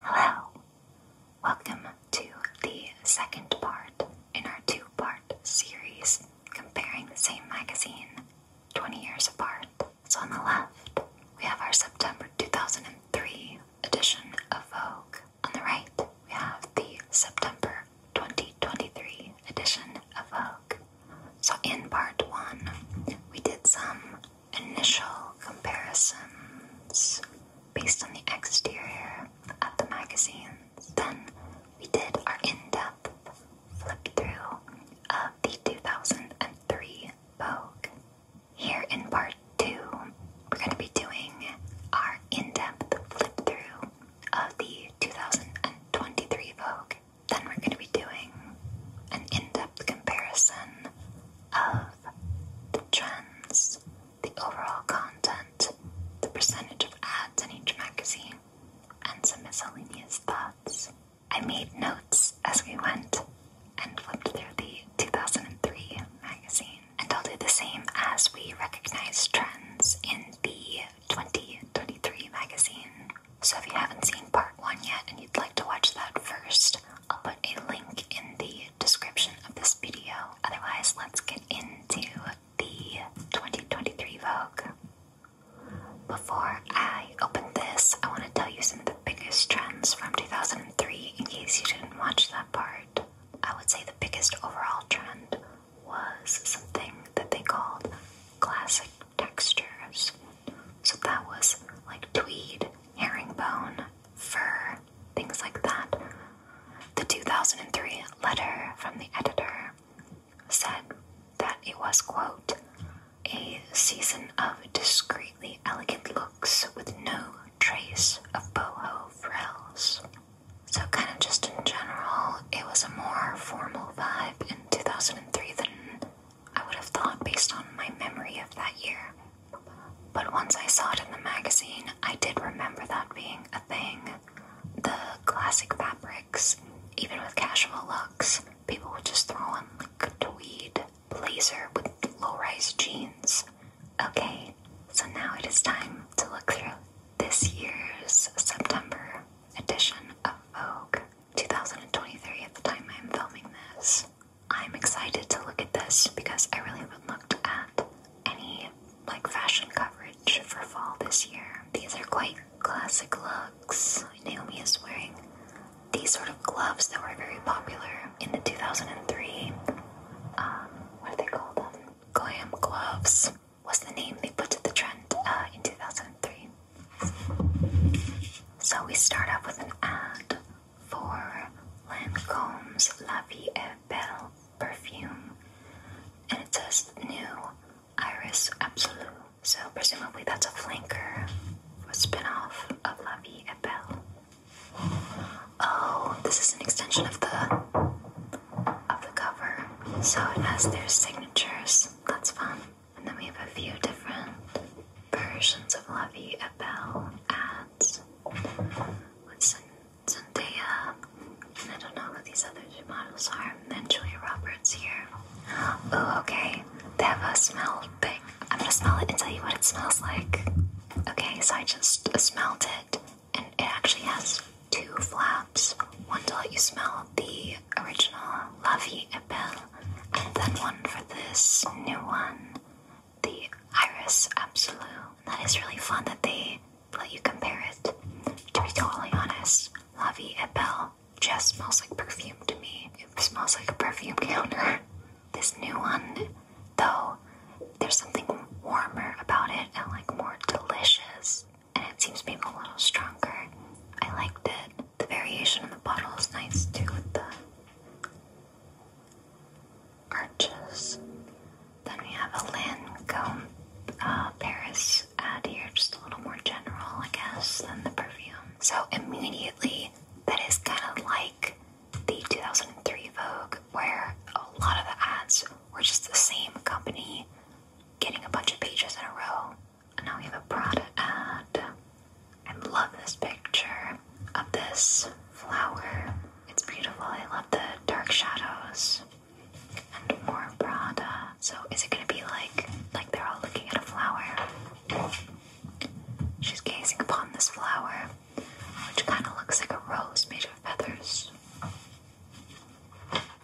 Hello! Welcome to the second part in our two part series comparing the same magazine 20 years apart. So, on the left, we have our September 2003 edition of Vogue. On the right, we have the September 2023 edition of Vogue. So, in part one, we did some initial comparisons based on the exterior of the magazines. Then we did our in depth flip through of the 2003 Vogue. Here in part two, we're going to be doing our in depth flip through of the 2023 Vogue. Then we're going to be doing an in depth comparison of the trends, the overall content, the percentage of ads in each magazine, and some miscellaneous thoughts. I made notes as we went and flipped through the 2003 magazine. And I'll do the same as we recognize trends in the 2023 magazine. So if you haven't seen part one yet and you'd like to watch that first, I'll put a link in the description of this video. Otherwise, let's get into the 2023 Vogue. Before I open this, I want to tell you some of the biggest trends from 2003 in case you didn't watch that part. I would say the biggest overall trend was something that they called classic textures. So that was like tweed, herringbone, fur, things like that. The 2003 letter from the editor said that it was, quote, a season of discreetly elegant looks with no trace of boho frills. So, kind of just in general, it was a more formal vibe in 2003 than I would have thought based on my memory of that year. But once I saw it in the magazine, I did remember that being a thing. The classic fabrics, even with casual looks, people would just throw on like a tweed blazer with low rise jeans. Okay, so now it is time to look through this year's September edition of Vogue 2023 at the time I'm filming this. I'm excited to look at this because I really haven't looked at any like fashion coverage for fall this year. These are quite classic looks. Naomi is wearing these sort of gloves that were very popular in the 2003. Um, what do they call them? Glam gloves was the name they put to the trend uh, in 2003. So we start off with an ad for Lancome's La Vie est Belle perfume. And it says new Iris absolute. So presumably that's a flanker, a spin-off of La Vie est Belle. Oh, this is an extension of the of the cover. So it has their signatures. That's fun. And then we have a few different versions of La Vie et Belle at What's what's Zendaya? I don't know what these other two models are. And then Julia Roberts here. Oh, okay. They have a smell thing. I'm gonna smell it and tell you what it smells like. Okay, so I just smelled it, and it actually has two flaps. One to let you smell the original Lovey Vie and then one for this new one the Iris Absolute. That is really fun that they let you compare it. To be totally honest, La Vie et Belle just smells like perfume to me. It smells like a perfume counter. This new one, though, there's something warmer about it and like more delicious, and it seems to be a little stronger. I liked it. The variation in the bottle is nice too, with the arches. Then we have a Lancome uh, Paris uh, ad here, just a little more general, I guess, than the perfume. So immediately, that is kind of like the 2003 Vogue, where a lot of the ads were just the same company getting a bunch of pages in a row. And now we have a Prada ad. I love this picture of this flower. It's beautiful. I love the dark shadows and more Prada. So is it gonna be like like they're all looking at a flower? She's gazing upon this flower, which kind of looks like a rose made of feathers.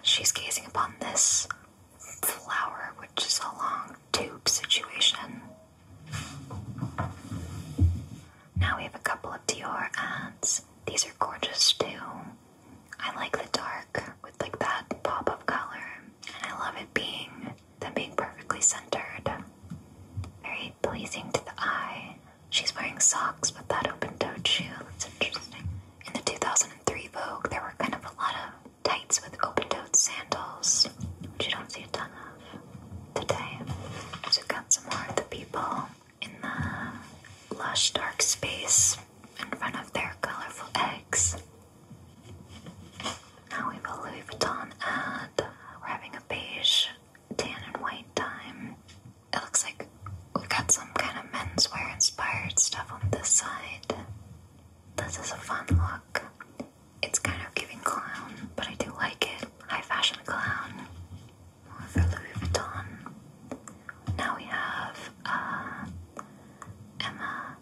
She's gazing upon this flower, which is a long tube situation. Now we have a couple of Dior ads. These are gorgeous too. I like the dark with like that pop of color, and I love it being them being perfectly centered. Very pleasing to the eye. She's wearing socks with that open-toed shoe. That's interesting. In the 2003 Vogue, there were kind of a lot of tights with open-toed sandals, which you don't see a ton of today. So we've got some more of the people in the lush dark space in front of their colorful eggs. Now we have a Louis Vuitton ad. We're having a beige, tan, and white time. It looks like we've got some kind of menswear inspired stuff on this side. This is a fun look. It's kind of giving clown, but I do like it. High fashion clown for Louis Vuitton. Now we have uh, Emma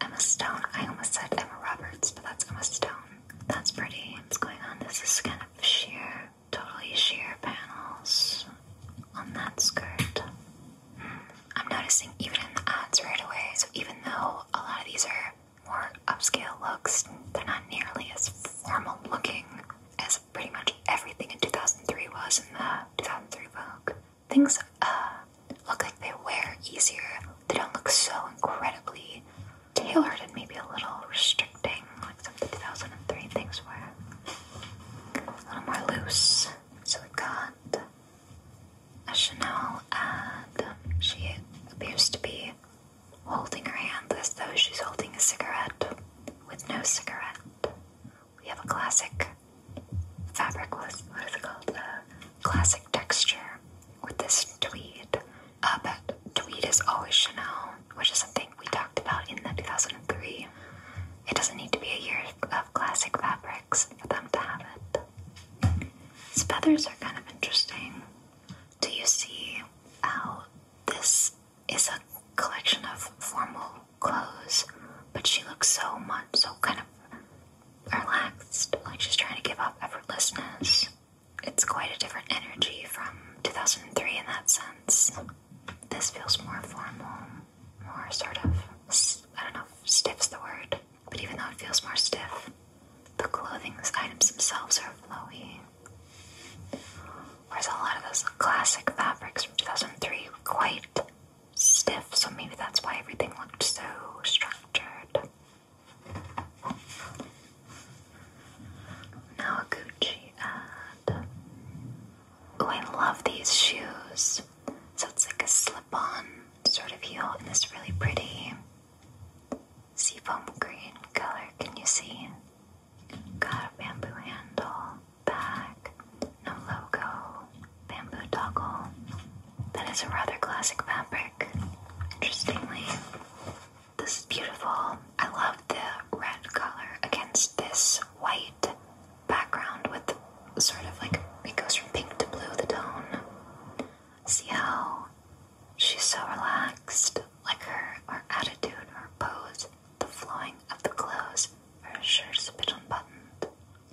Emma Stone. I almost said Emma Roberts, but that's Emma Stone. That's pretty. What's going on? This is kind of sheer, totally sheer panels on that skirt. Hmm. I'm noticing even in the ads right away. So even though a lot of these are more upscale looks, they're not nearly as formal looking as pretty much everything in 2003 was in the 2003 Vogue. Things uh, look like they wear easier. They don't look so incredibly tailored and maybe a little restricting, like some of the 2003 things were. A little more loose. So we have got a Chanel, and she appears to be holding her hand as though she's holding a cigarette with no cigarette. We have a classic fabricless, what is it called? A classic texture with this tweed. Uh, but tweed is always Chanel, which is something we talked about in the 2003. It doesn't need to be a year of classic fabrics for them to have it. These feathers are kind of interesting. Do you see how this is a collection of formal clothes, but she looks so much so kind of relaxed, like she's trying to give up effortlessness. It's quite a different energy from 2003 in that sense. This feels more formal, more sort of, I don't know, stiff's the word, but even though it feels more stiff, the clothing items themselves are flowy. Whereas a lot of those classic fabrics from 2003 were quite stiff, so maybe that's why everything looked so structured. Now a Gucci ad. Oh, I love these shoes. So it's like a slip-on sort of heel in this really pretty seafoam green color. Can you see? Got a bamboo handle, bag, no logo, bamboo toggle. That is a rather classic fabric. Interestingly, this is beautiful. I love the red color against this white background with sort of like it goes from pink to blue, the tone. See how she's so relaxed, like her, her attitude, her pose the flowing of the clothes, her shirt's a bit unbuttoned.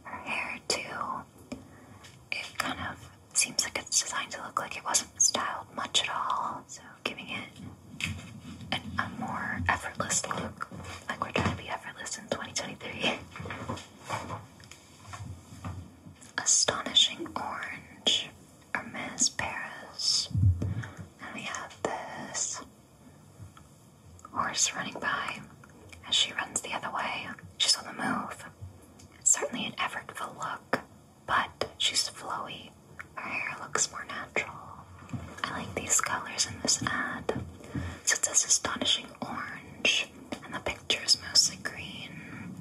Her hair, too. It kind of seems like it's designed to look like it wasn't styled much at all, so giving it an, a more effortless look. Like we're trying to be effortless in 2023. Astonishing orange. Hermes Paris. And we have this horse running by as she runs the other way. She's on the move. It's certainly an effortful look, but she's flowy. Her hair looks more natural. I like these colors in this ad. So it says astonishing orange, and the picture is mostly green.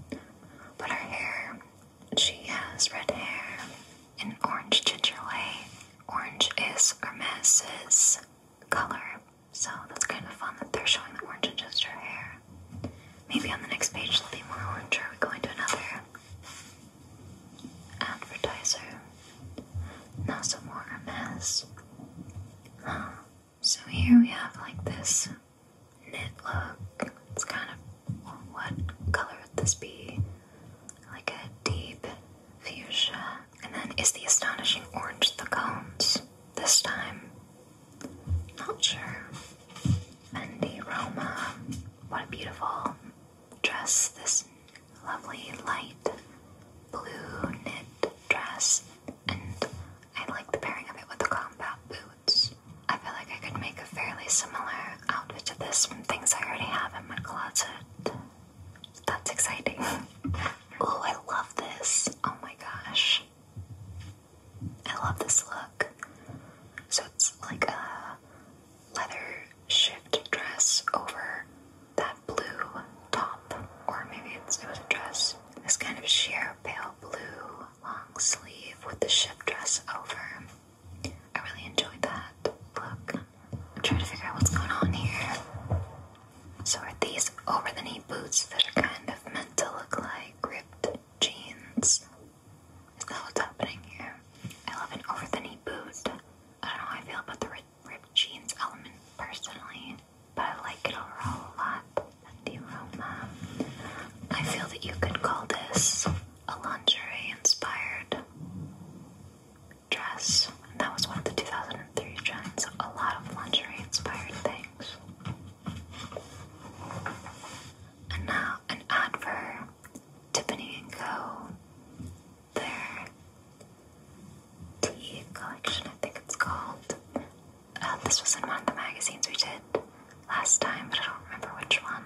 But her hair, she has red hair, an orange chicharole. Orange is Hermes's color, so that's kind of fun that they're showing the orange ginger hair. Maybe on the next page there'll be more orange, or we going to another advertiser. Now some more Hermes. Huh. So here we have like this knit look. It's kind of what color would this be? Like a deep fuchsia. And then is the astonishing orange the cones this time? Not sure. Fendi Roma. What a beautiful dress. This lovely light blue knit dress. And I like the pairing of it with the combat boots. I feel like I could make a fairly similar outfit of this from things I already have in my closet. That's exciting. oh, I love this. Oh my gosh. I love this look. So it's like a leather shift dress over that blue top, or maybe it's, it was a dress. This kind of sheer pale blue long sleeve with the shift dress over. I really enjoyed that look. I'm trying to figure out what's going on here. So are these over-the-knee boots that are kind of meant to look like ripped jeans? Is that what's happening here? I love an over-the-knee boot. I don't know how I feel about the ripped jeans element personally, but I like it overall a lot. And the aroma. I feel that you could call this a lingerie-inspired dress. That was one of the 2003 trends. A lot of lingerie inspired things. And now an ad for Tiffany & Co. Their tea collection, I think it's called. Uh, this was in one of the magazines we did last time, but I don't remember which one.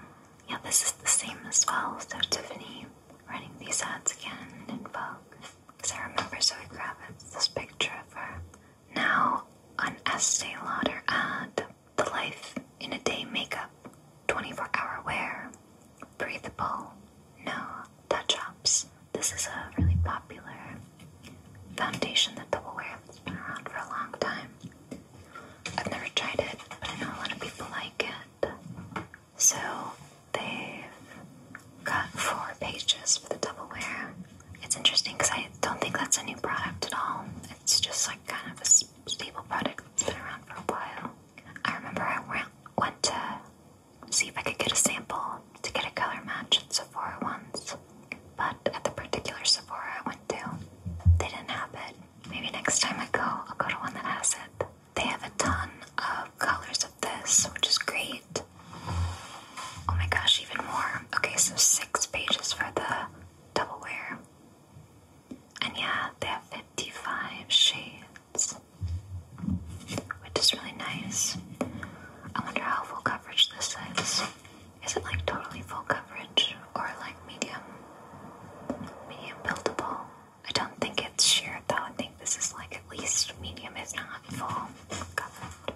Yeah, this is the same as well. So Tiffany running these ads again in Vogue, I remember Zoe Kravitz, this picture of her. Now, an Estee Lauder ad, the life in a day makeup, 24 hour wear, breathable, no touch ups. This is a really popular foundation that double wear that's been around for a long time. I've never tried it, but I know a lot of people like it. So they've got four pages for the double wear. It's interesting because I don't think that's a new product at all. It's just like kind of a stable product that's been around for a while. I remember I went, went to see if I could get a sample to get a color match at Sephora once, but at the particular Sephora I went to, they didn't have it. Maybe next time I go, I'll go to one that has it they have a ton of colors of this, which is great. Oh my gosh, even more. Okay, so six pages for the double wear. And yeah, they have 55 shades, which is really nice. I wonder how full coverage this is. Is it like totally full coverage or like medium? Medium buildable? I don't think it's shared though. I think this is like at least medium, if not full. Covered.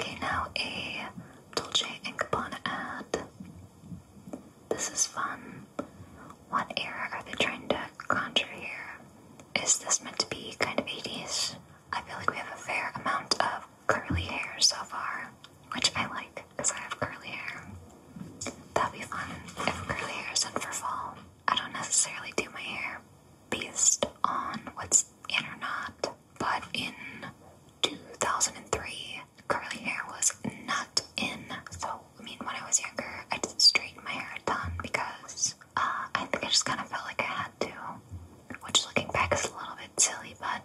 Okay, now a Dolce & Gabbana ad. This is fun. What era are they trying to conjure here? Is this meant to be kind of 80s? I feel like we have a fair amount of curly hair so far, which I like because I have curly hair. That'd be fun if curly hair is in for fall. I don't necessarily do my hair based on what's in or not, but in 2003, curly hair was not in. So, I mean, when I was younger, I didn't straighten my hair done because uh, I think I just kind of felt like I had to, which looking back is a little bit silly, but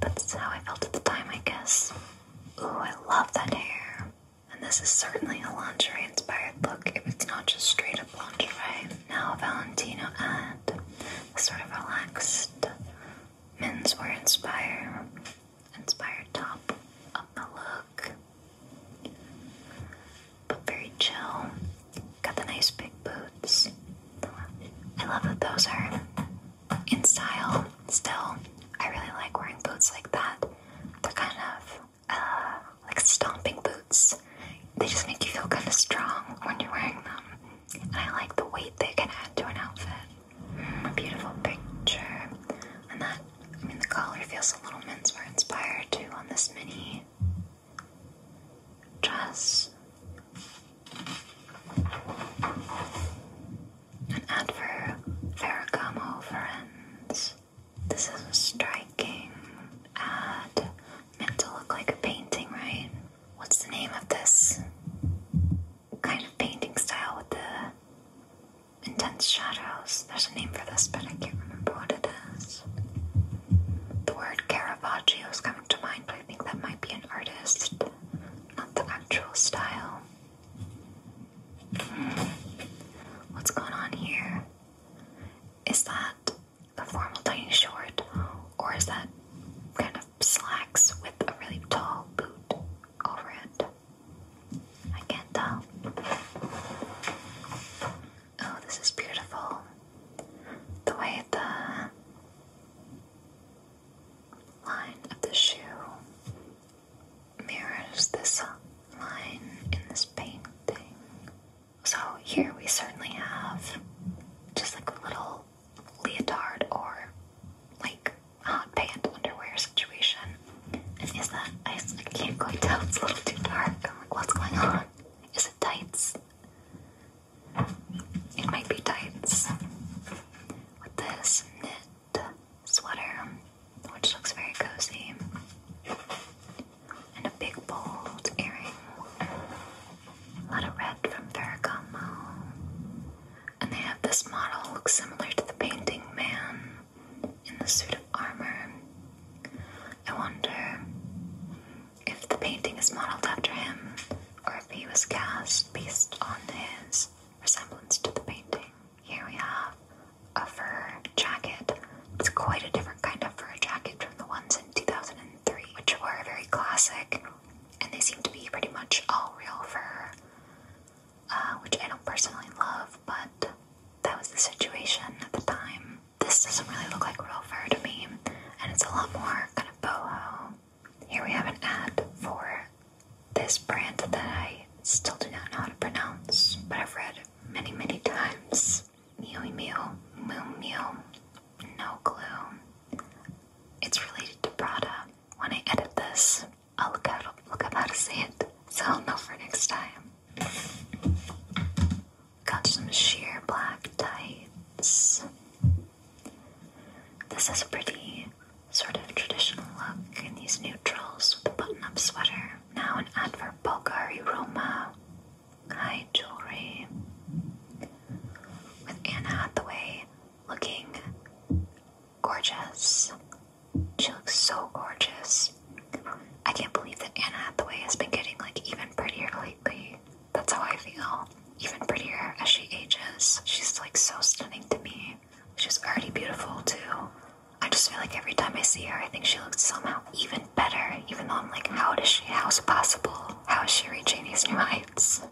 that's how I felt at the time, I guess. Ooh, I love that hair. And this is certainly a lingerie inspired look if it's not just straight up lingerie. Now, Valentino had a sort of relaxed menswear inspired, inspired top of the look, but very chill. Got the nice big boots. I love that those are in style still. I really like wearing boots like that. They're kind of uh, like stomping boots. They just make you feel kind of strong when you're wearing them. And I like the weight they can add to an outfit. A beautiful picture. And that, I mean, the collar feels a little menswear inspired too on this mini dress. An adverb vericamo Friends, This is a striking ad meant to look like a painting, right? What's the name of this kind of painting style with the intense shadows? There's a name for this, but I can't remember what it is. The word Caravaggio is coming to mind, but I think that might be an artist, not the actual style. What's going on here? Is that the formal tiny short, or is that kind of slacks with a really tall boot over it? I can't tell. Oh, this is beautiful. The way the line of the shoe mirrors this line in this painting. So here we certainly have just like a little leotard or like hot pant underwear situation. is that I can't quite tell, it's a little too dark. like, what's going on? Is it tights? It might be tights. With this sweater, which looks very cozy, and a big bold earring. A lot of red from Ferragamo. And they have this model, looks similar to the painting man in the suit of armor. I wonder if the painting is modeled after him or if he was cast based on his resemblance to the painting. Here we have a fur jacket. It's quite a different kind of fur jacket from the ones in 2003, which were very classic, and they seem to be pretty much all real fur, uh, which I don't personally love, but that was the situation at the time. This doesn't really look like real fur to me, and it's a lot more kind of boho. Here we have an ad for this brand that I still do not know how to pronounce, but I've read many, many times. Mew Mew Moo Mew. No clue. It's related to Prada. When I edit this, I'll look out look up how to say it, so I'll know for next time. Got some sheer black tights. This is a pretty sort of traditional look in these neutrals with a button-up sweater now an ad for Bulgari Roma Kai jewelry. With Anne Hathaway looking gorgeous. She looks so gorgeous. I can't believe that Anne Hathaway has been getting like even prettier lately. That's how I feel. Even prettier as she ages. She's like so stunning to me. She's already beautiful too. I just feel like every time I see her, I think she looks somehow even better, even though I'm like, how does she, how's it possible? How is she reaching these new heights?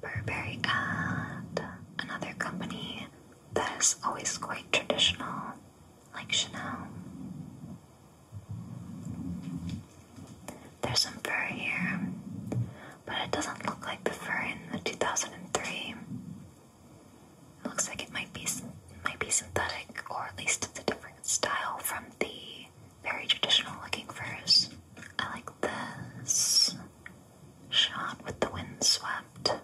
Burberry ad, another company that is always quite traditional, like Chanel. There's some fur here, but it doesn't look like the fur in the 2003. It looks like it might be might be synthetic, or at least it's a different style from the very traditional-looking furs. I like this shot with the windswept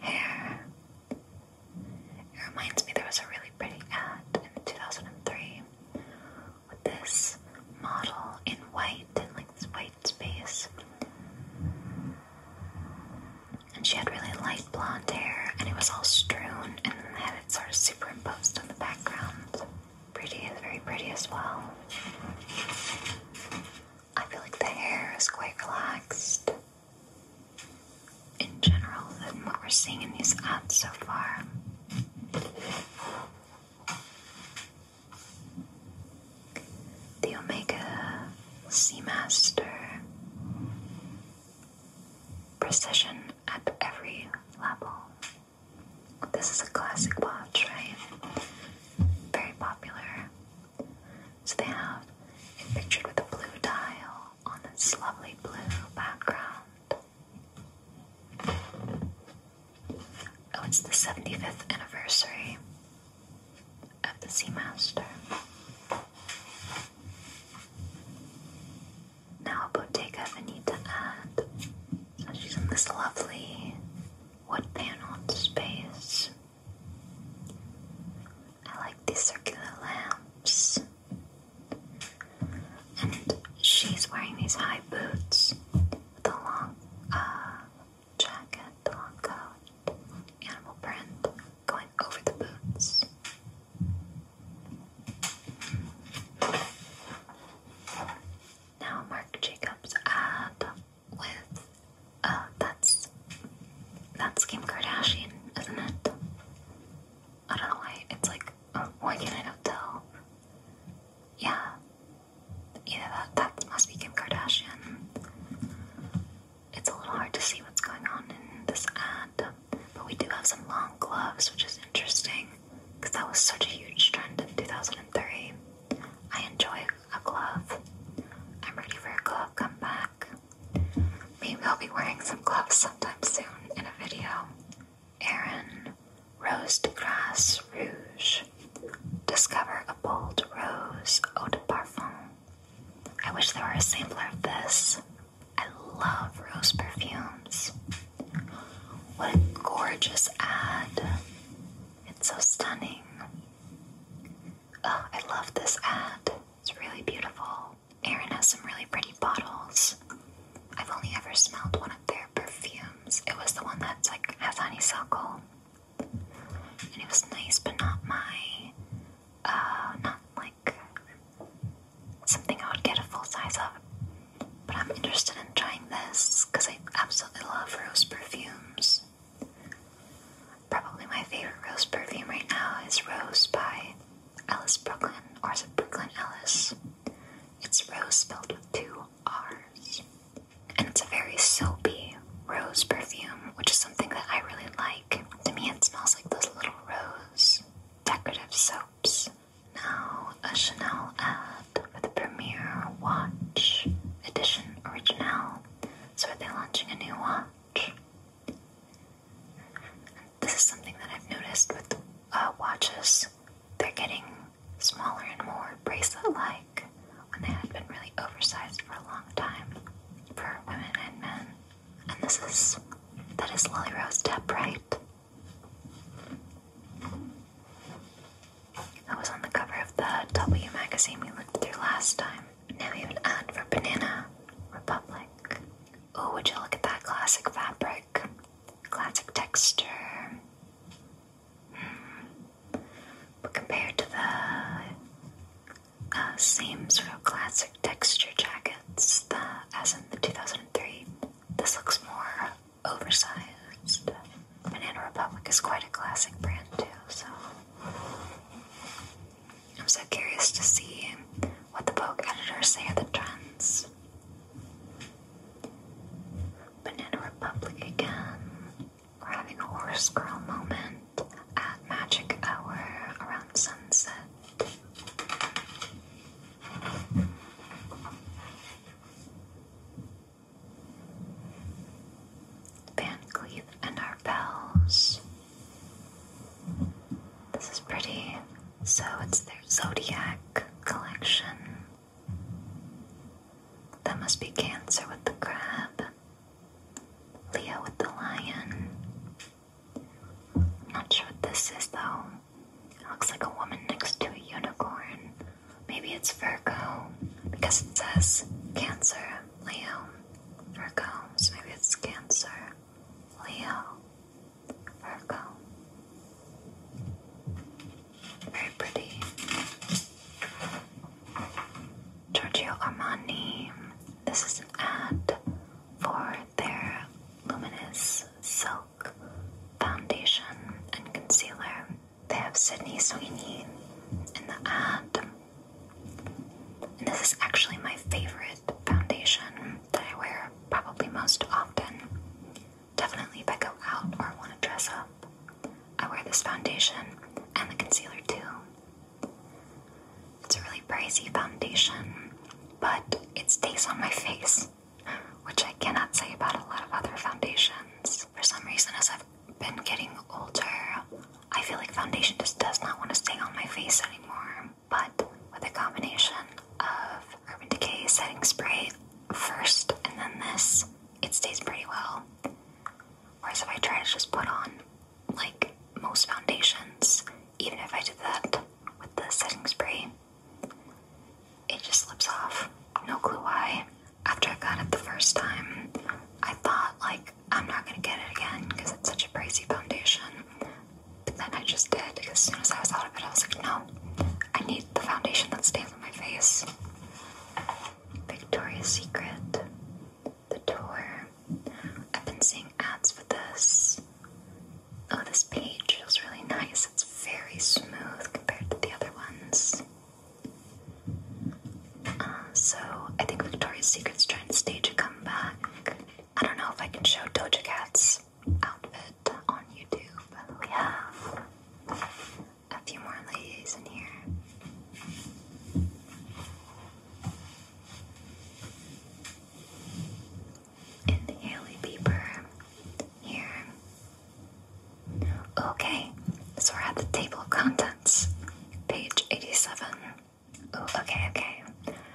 hair. It reminds me there was a really pretty ad in 2003 with this model in white and like this white space. And she had really light blonde hair, and it was all strewn and had it sort of superimposed on the background. Pretty, very pretty as well. I feel like the hair is quite relaxed in general than what we're seeing in these ads so far the Omega Seamaster. Precision at every level. This is a classic watch, right? Very popular. So they have it pictured with a blue dial on this lovely blue background. Oh, it's the 75th anniversary of the Sea Master. Now Bottega Veneta ad. So she's in this lovely wood paneled space. I like these circular lamps. And she's wearing these high boots with a long uh, jacket, the long coat, animal print going over the boots. Now, Marc Jacobs ad uh, with uh, that's that's Kim Kardashian, isn't it? I don't know why it's like oh, why can I tell? Yeah, Either that, that must be Kim Kardashian. It's a little hard to see what's going on in this ad, but we do have some long gloves, which is interesting because that was such a huge trend in 2003. I enjoy a glove. I'm ready for a glove back. Maybe I'll be wearing some gloves sometime soon in a video. Erin Rose de Grasse Rouge Discover a bold rose eau de parfum. I wish there were a sampler of this. I love rose perfumes. What a gorgeous ad! It's so stunning. Oh, I love this ad. It's really beautiful. Erin has some really pretty bottles. I've only ever smelled one of their perfumes. It was the one that's like has honeysuckle and it was nice, but not my, uh, not like something I would get a full size of. But I'm interested in trying this because I absolutely love rose perfumes. Probably my favorite rose perfume right now is Rose by Alice Brooklyn, or is it Brooklyn Alice? It's rose spelled with two R's and it's a very soapy rose perfume, which is something that I really like. To me, it smells like those little rose decorative soaps. Now, a Chanel ad for the Premier Watch Edition Original. So, they are launching a new watch? This is something that I've noticed with uh, watches. They're getting smaller and more bracelet like when they had been really oversized for a long time for women and men. And this is that is Lily Rose Depp, right? That was on the cover of the W magazine we looked through last time. Now we have an ad for Banana Republic. Oh, would you look at that classic fabric? Classic texture. Hmm. But compared to the uh, same sort of classic texture jackets as in the 2003, this looks more oversized. Banana Republic is quite a classic brand too, so I'm so curious to see what the Vogue editors say of the trends. Banana Republic again. We're having a horse girl moment at magic hour around sunset. Van Cleef and Arpels. This is pretty. So it's their zodiac collection. That must be Cancer with the crab. Leo with the lion. I'm not sure what this is though. It looks like a woman next to a unicorn. Maybe it's Virgo because it says Cancer, Leo, Virgo. So maybe it's Cancer, Leo, Virgo. Very pretty. Giorgio Armani. This is an ad for their Luminous Silk Foundation and Concealer. They have Sydney Sweeney in the ad. And this is actually my favorite foundation that I wear probably most often. Definitely if I go out or I want to dress up. I wear this foundation and the concealer too. It's a really pricey foundation, but it stays on my face, which I cannot say about a lot of other foundations. For some reason, as I've been getting older, I feel like foundation just does not want to stay on my face anymore. But with a combination of Urban Decay setting spray first and then this, it stays pretty well. Whereas if I try to just put on like most foundations, even if I did that with the setting spray, it just slips off. No clue why. After I got it the first time, I thought, like, I'm not gonna get it again because it's such a pricey foundation. But then I just did because as soon as I was out of it, I was like, no, I need the foundation that stays on my face. Victoria's Secret the tour. I've been seeing ads for this. Oh, this page feels really nice. It's very smooth compared to the other ones. Uh, so, I think Victoria's Secret's trying to stage a comeback. I don't know if I can show Doja Cat's outfit on YouTube, but we have a few more ladies in here in the alley paper here. Okay, so we're at the table of contents, page 87. Oh, okay, okay.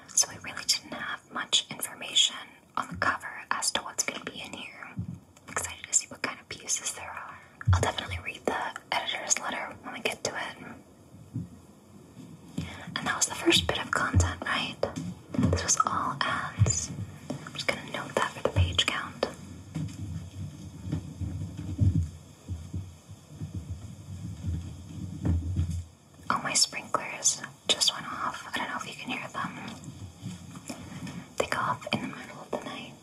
So we really didn't have much information on the cover as to what's going to be in here. excited to see what kind of pieces there are. I'll definitely read the editor's letter when we get to it. And that was the first bit of content, right? This was all ads. I'm just gonna note that for the page count. Oh, my sprinklers just went off. I don't know if you can hear them. They go off in the middle of the night,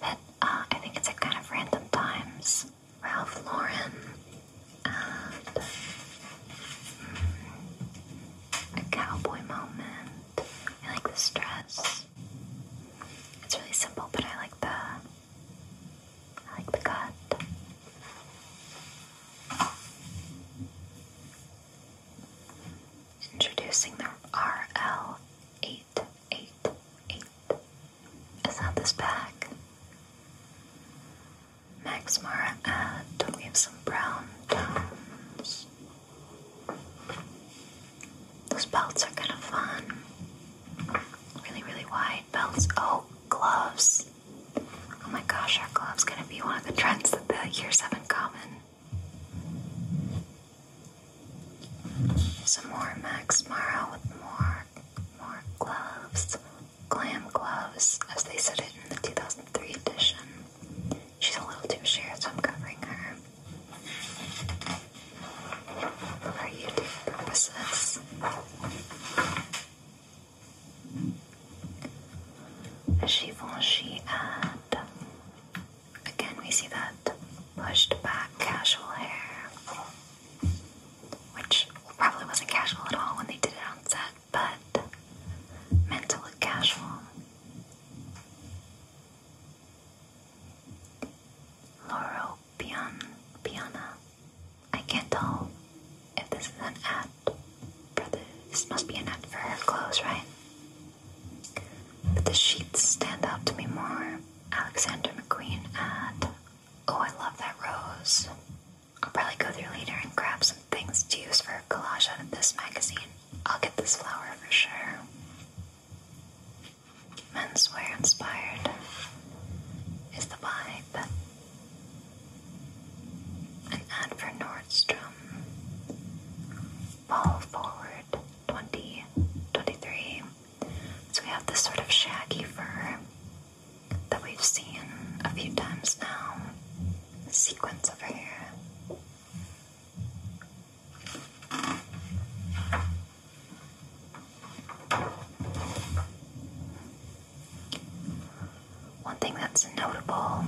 but uh, I think it's at kind of random times. Ralph Lauren, mm, a cowboy moment. I like this dress. It's really simple, but I like the I like the cut. Introducing the RL eight eight eight is that this pack? Max Mara ad. Uh, we have some brown tones. Those belts are kind of fun. Really, really wide belts. Oh, gloves. Oh my gosh, our gloves going to be one of the trends that the years have in common? Some more Max Mara with more more, gloves, glam gloves, as they said it in the 2003 edition. She's a little too sheer, so I'm covering her. For YouTube purposes. Givenchy ad. Again, we see that pushed back casual hair which probably wasn't casual at all when they did it on set, but meant to look casual. Loro Piana. I can't tell if this is an ad for This must be an ad for her clothes, right? But the sheets stand out to me more. Alexander McQueen ad Oh, I love that rose. I'll probably go through later and grab some things to use for a collage out of this magazine. I'll get this flower for sure. Menswear inspired is the vibe. An ad for Nordstrom. Ball forward 2023. So we have this sort of shaggy fur that we've seen a few times now. The sequence over here. One thing that's notable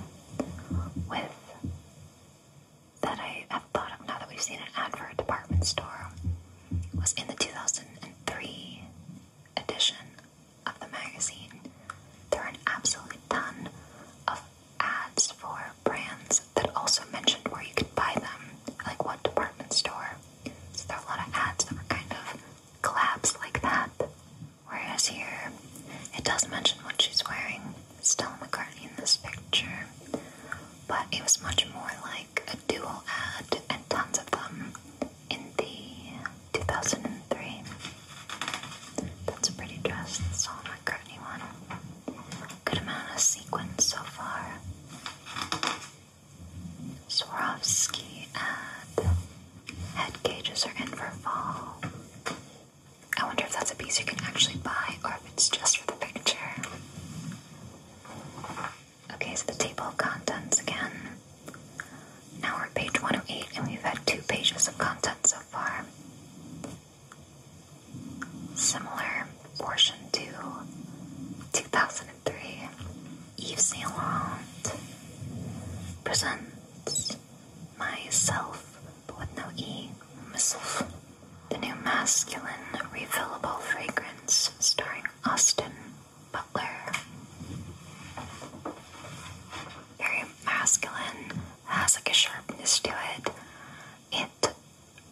with that I have thought of now that we've seen an ad for a department store was in the 2003 edition of the magazine, there are an absolute ton of ads for brands that also mentioned where you can buy them, like what department store. So there are a lot of ads that were kind of collabs like that. Whereas here, it does mention what she's wearing, Stella McCartney in this picture, but it was much more like a dual ad and tons of them in the 2003. That's a pretty dress, the Paul McCartney one. Good amount of sequins so far. Swarovski Head cages are in for fall. I wonder if that's a piece you can actually buy or if it's just for the picture. Okay, so the table of contents again. Now we're at page 108 and we've had two pages of content so far. Similar portion to 2003. Yves Saint Laurent presents myself, but with no E, myself. The new masculine refillable fragrance starring Austin Butler. Very masculine, has like a sharpness to it. It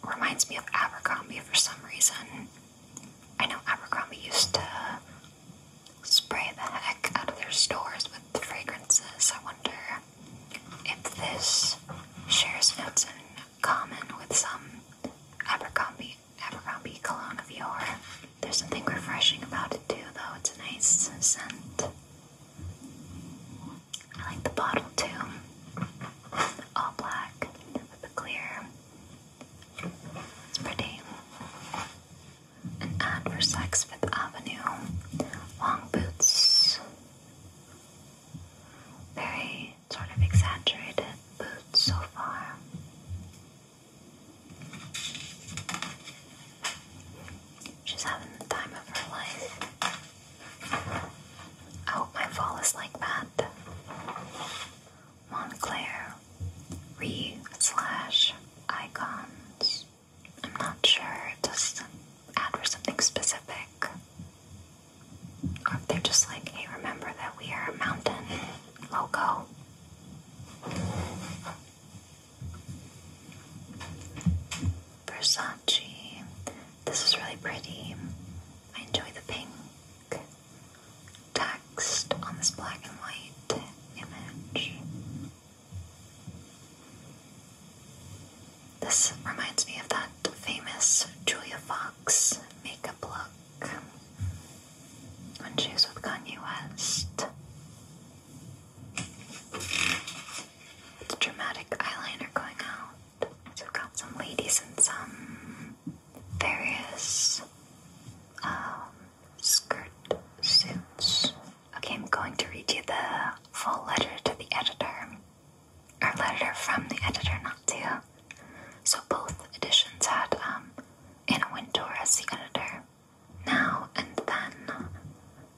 reminds me of Abercrombie for some reason. I know Abercrombie used to spray the heck out of their stores with fragrances. I wonder if this shares notes in common with some Abercrombie Abercrombie cologne of yore. There's something refreshing about it too, though. It's a nice scent. I like the bottle too. All black with the clear. It's pretty. An ad for Saks Fifth Avenue. Long boots. Very sort of exaggerated boots so far. She's having the time of her life. I oh, my fall is like that. Montclair, re slash icons. I'm not sure. Does ad for something specific? Or if they're just like, hey, remember that we are mountain logo. Versace. This is really pretty. I enjoy the pink text on this black and white image. This reminds me of that famous Julia Fox makeup look when she was with Kanye West. It's dramatic eyeliner going out. So we've got some ladies and some various um, suits. Okay, I'm going to read you the full letter to the editor. Our letter from the editor, not to. So both editions had um, in a winter as the editor now and then.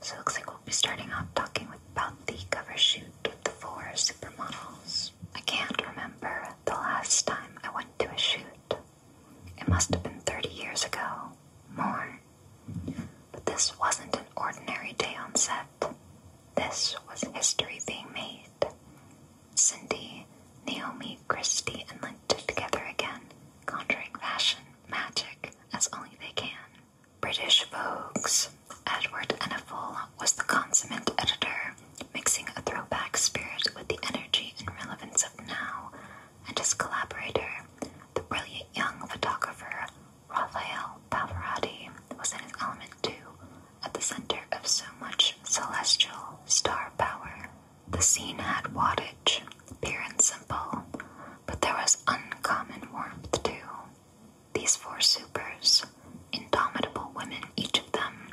So it looks like we'll be starting off talking about the cover shoot with the four supermodels. I can't remember the last time I went to a shoot. It must have been 30 years ago, more. But this wasn't an ordinary day on set. This was history being made, Cindy, Naomi, Christy, and linked together again, conjuring fashion, magic, as only they can. British Vogue's Edward Eneful was the consummate editor, mixing a throwback spirit with the energy and relevance of now, and his collaborator, the brilliant young photographer Raphael Pavarotti, was in his element too, at the center of so much celestial star power. The scene had wattage, pure and simple, but there was uncommon warmth too. These four supers, indomitable women, each of them,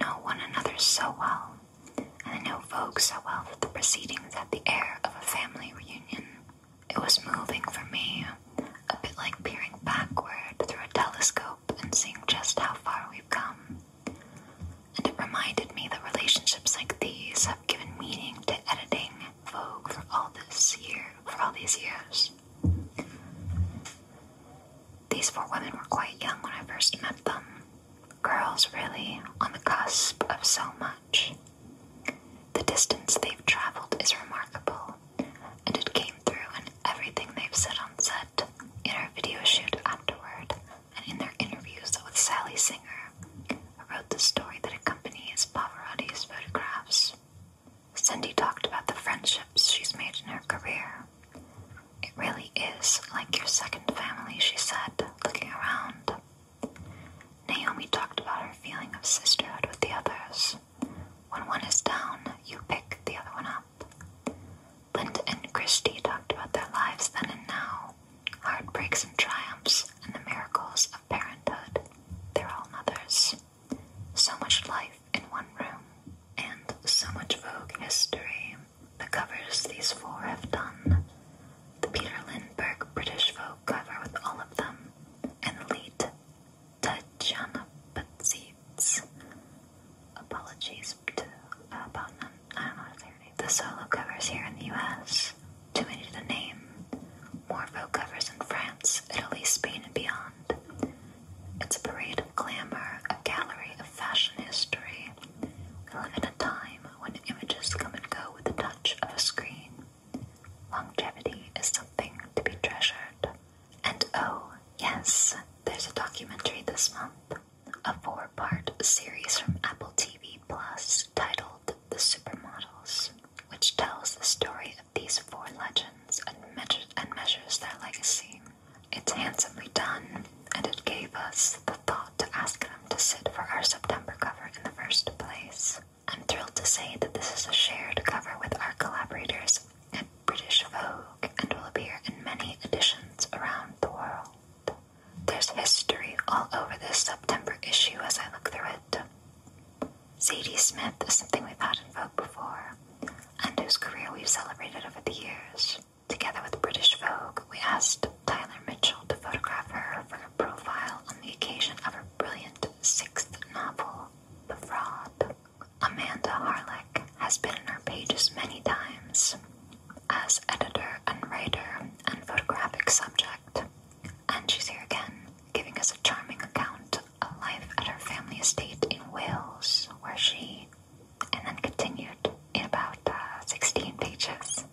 know one another so well, and they know folks so well that the proceedings had the air of a family reunion. It was moving for me, a bit like peering backward through a telescope and seeing just how far we've come. And it reminded me that relationships like these have given meaning to editing Vogue for all this year for all these years. These four women were quite young when I first met them. Girls really on the cusp of so much. The distance they've traveled is remarkable, and it came through in everything they've said on set in her video shoot afterward and in their interviews with Sally Singer, who wrote the story that accompanies Pavarotti's photographs. Cindy talked about the friendships she's made in her career. It really is like your second family, she said, looking around. Naomi talked about her feeling of sisterhood with the others. When one is down, you pick the other one up. Linda and Christie talked about their lives then and now, heartbreaks and triumphs, and the miracles of parenthood. They're all mothers. So much life in one room, and so much Vogue history. The covers these four have done. The Peter Lindbergh British Vogue cover with all of them, and the lead Tatiana Patzitz. Apologies gasped uh, The solo covers here in the U.S. Too many to name. More folk covers in France, Italy, Spain, and beyond. It's a parade of glamour, a gallery of fashion history. We live in a time when images come and go with the touch of a screen. Longevity is something to be treasured. And oh, yes, there's a documentary this month a four-part series from Apple TV Plus titled The Supermodels, which tells the story of these four legends and, measures their legacy. It's handsomely done, and it gave us the thought to ask them to sit for our September cover in the first place. I'm thrilled to say that this is a shared cover with our collaborators at British Vogue and will appear in many editions around the world. There's history all over this September issue as I look through it. Sadie Smith is something we've had in Vogue before, and whose career we've celebrated over the years. Together with British Vogue, we asked Tyler Mitchell to photograph her for her profile on the occasion of her brilliant sixth novel, The Fraud. Amanda Harlech has been in our pages many times, as editor and writer and photographic subject. And she's here again, giving us a charming account of life at her family estate in Wales, where she, and then continued in about uh, 16 pages.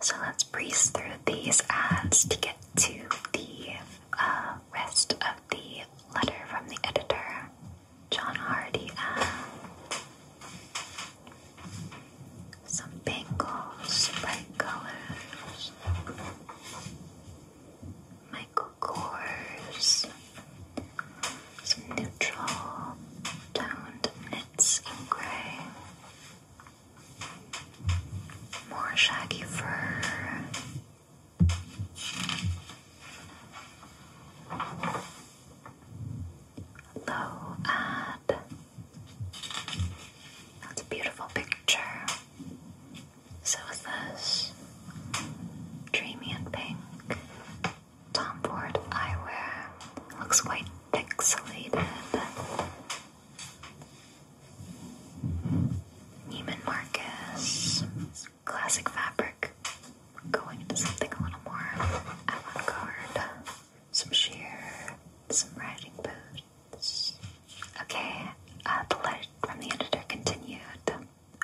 So let's breeze through these ads to get to the uh, rest of the letter from the editor. John Hardy and uh, some bangles, bright colors, Michael Kors, some neutral toned knits in gray, more shaggy fur. Low ad. That's a beautiful picture. So is this. Dreamy and pink. Tom Ford eyewear. Looks quite pixelated. Neiman Marcus. Classic fabric going into something a little more avant garde. Some sheer, some riding boots. Okay, uh, the letter from the editor continued.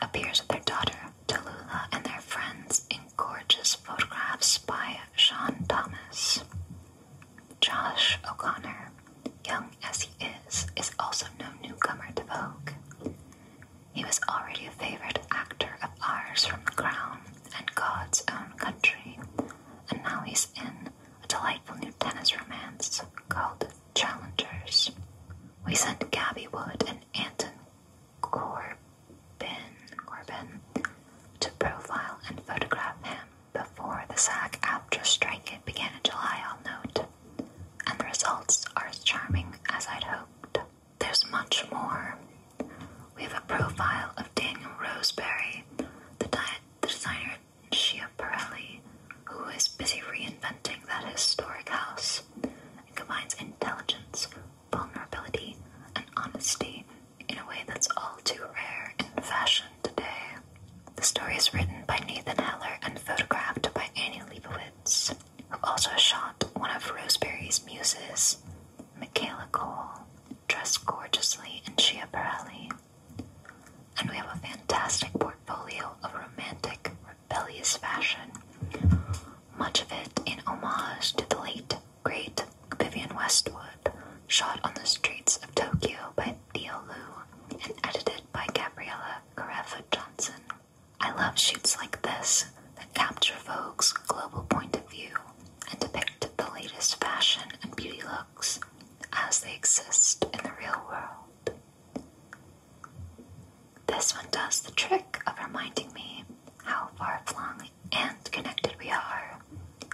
Appears with their daughter, Tallulah, and their friends in gorgeous photographs by Sean Thomas. Josh O'Connor, young as he is, is also no newcomer to Vogue. He was already a favorite actor of ours from The Crown, and God's own country, and now he's in a delightful new tennis romance called Challengers. We sent Gabby Wood and Anton Corbin, to profile and photograph him before the SAG after strike began in July, I'll note, and the results are as charming as I'd hoped. There's much more. We have a profile of Daniel Roseberry, the, di the designer Schiaparelli, who is busy reinventing that historic house It combines intelligence, vulnerability, and honesty in a way that's all too rare in fashion today. The story is written by Nathan Heller and photographed by Annie Leibovitz, who also shot one of Roseberry's muses, Michaela Cole, dressed gorgeously in Schiaparelli. And we have a fantastic portfolio of romantic, rebellious fashion, much of it in homage to the late, great Vivian Westwood, shot on the streets of Tokyo by Theo Lu and edited by Gabriella Carefa Johnson. I love shoots like this Capture Vogue's global point of view and depicted the latest fashion and beauty looks as they exist in the real world. This one does the trick of reminding me how far flung and connected we are,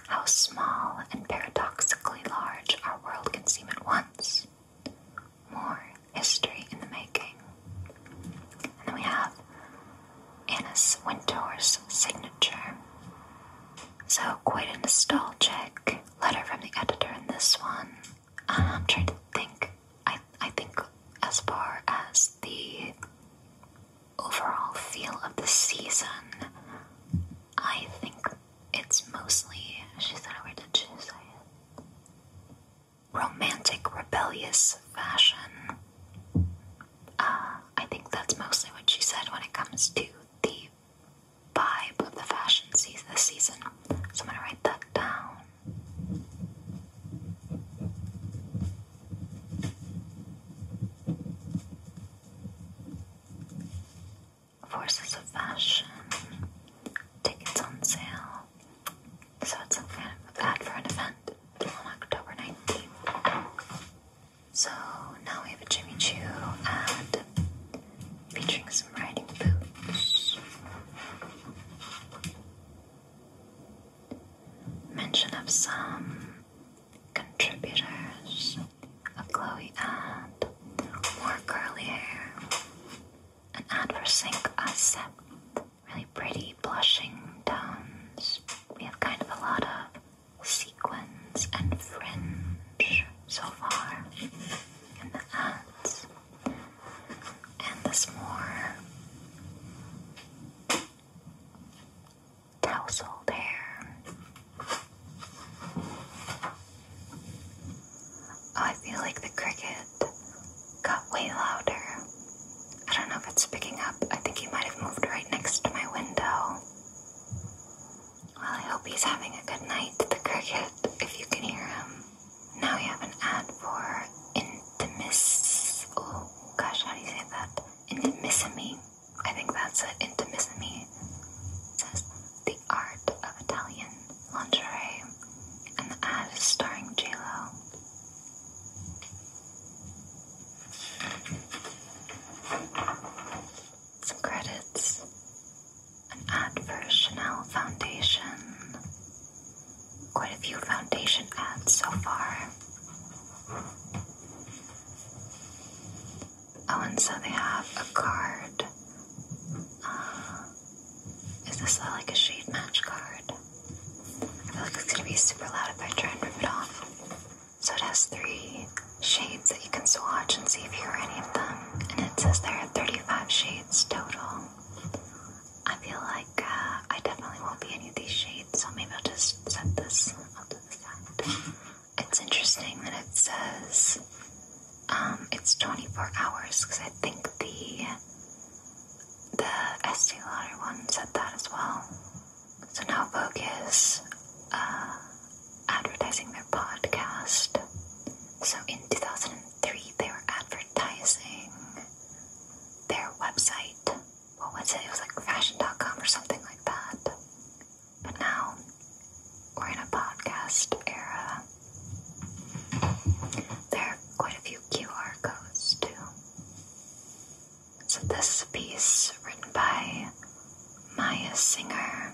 how small and paradoxically large our world can seem at once. More history in the making. And then we have Anna's Wintour's signature. So, quite a nostalgic letter from the editor in this one. Um, I'm trying to think. I, I think, as far as the overall feel of the season, I think it's mostly. She said, where did she say it? Romantic, rebellious fashion. Uh, I think that's mostly what she said when it comes to the vibe of the fashion season this season. So I'm gonna write that down. Forces of fashion, tickets on sale. So it's some kind of an event on October 19th. So now we have a Jimmy Choo ad featuring some riding boots. Mention of some contributors of Chloe ad, more curly hair, an ad for really pretty blushing tones we have kind of a lot of sequins and fringe so far and the ants And this more tousled hair. Oh, I feel like the cricket got way louder I don't know if it's picking up. I think he might have moved right next to my window. Well, I hope he's having a good night, the cricket, if you can hear him. Now we have an ad for Intimis. Oh, gosh, how do you say that? Intimissimi. I think that's it. Intimissimi. says, The Art of Italian Lingerie. And the ad is starring JLo. Some credits an ad for Chanel Foundation. Quite a few foundation ads so far. Oh, and so they have a card. Uh, is this like a shade match card? I feel like it's gonna be super loud if I try and rip it off. So it has three shades that you can swatch and see if you're any of them. And it says there are 35 shades total. I feel like uh, I definitely won't be any of these shades, so maybe I'll just set this up to the side. It's interesting that it says um, it's 24 hours because I think the the Estee Lauder one said that as well. So now Vogue is uh, advertising their podcast. So in 2003, they were advertising their website. What was it? It was like fashion.com or something like that. But now we're in a podcast era. There are quite a few QR codes too. So, this piece, written by Maya Singer,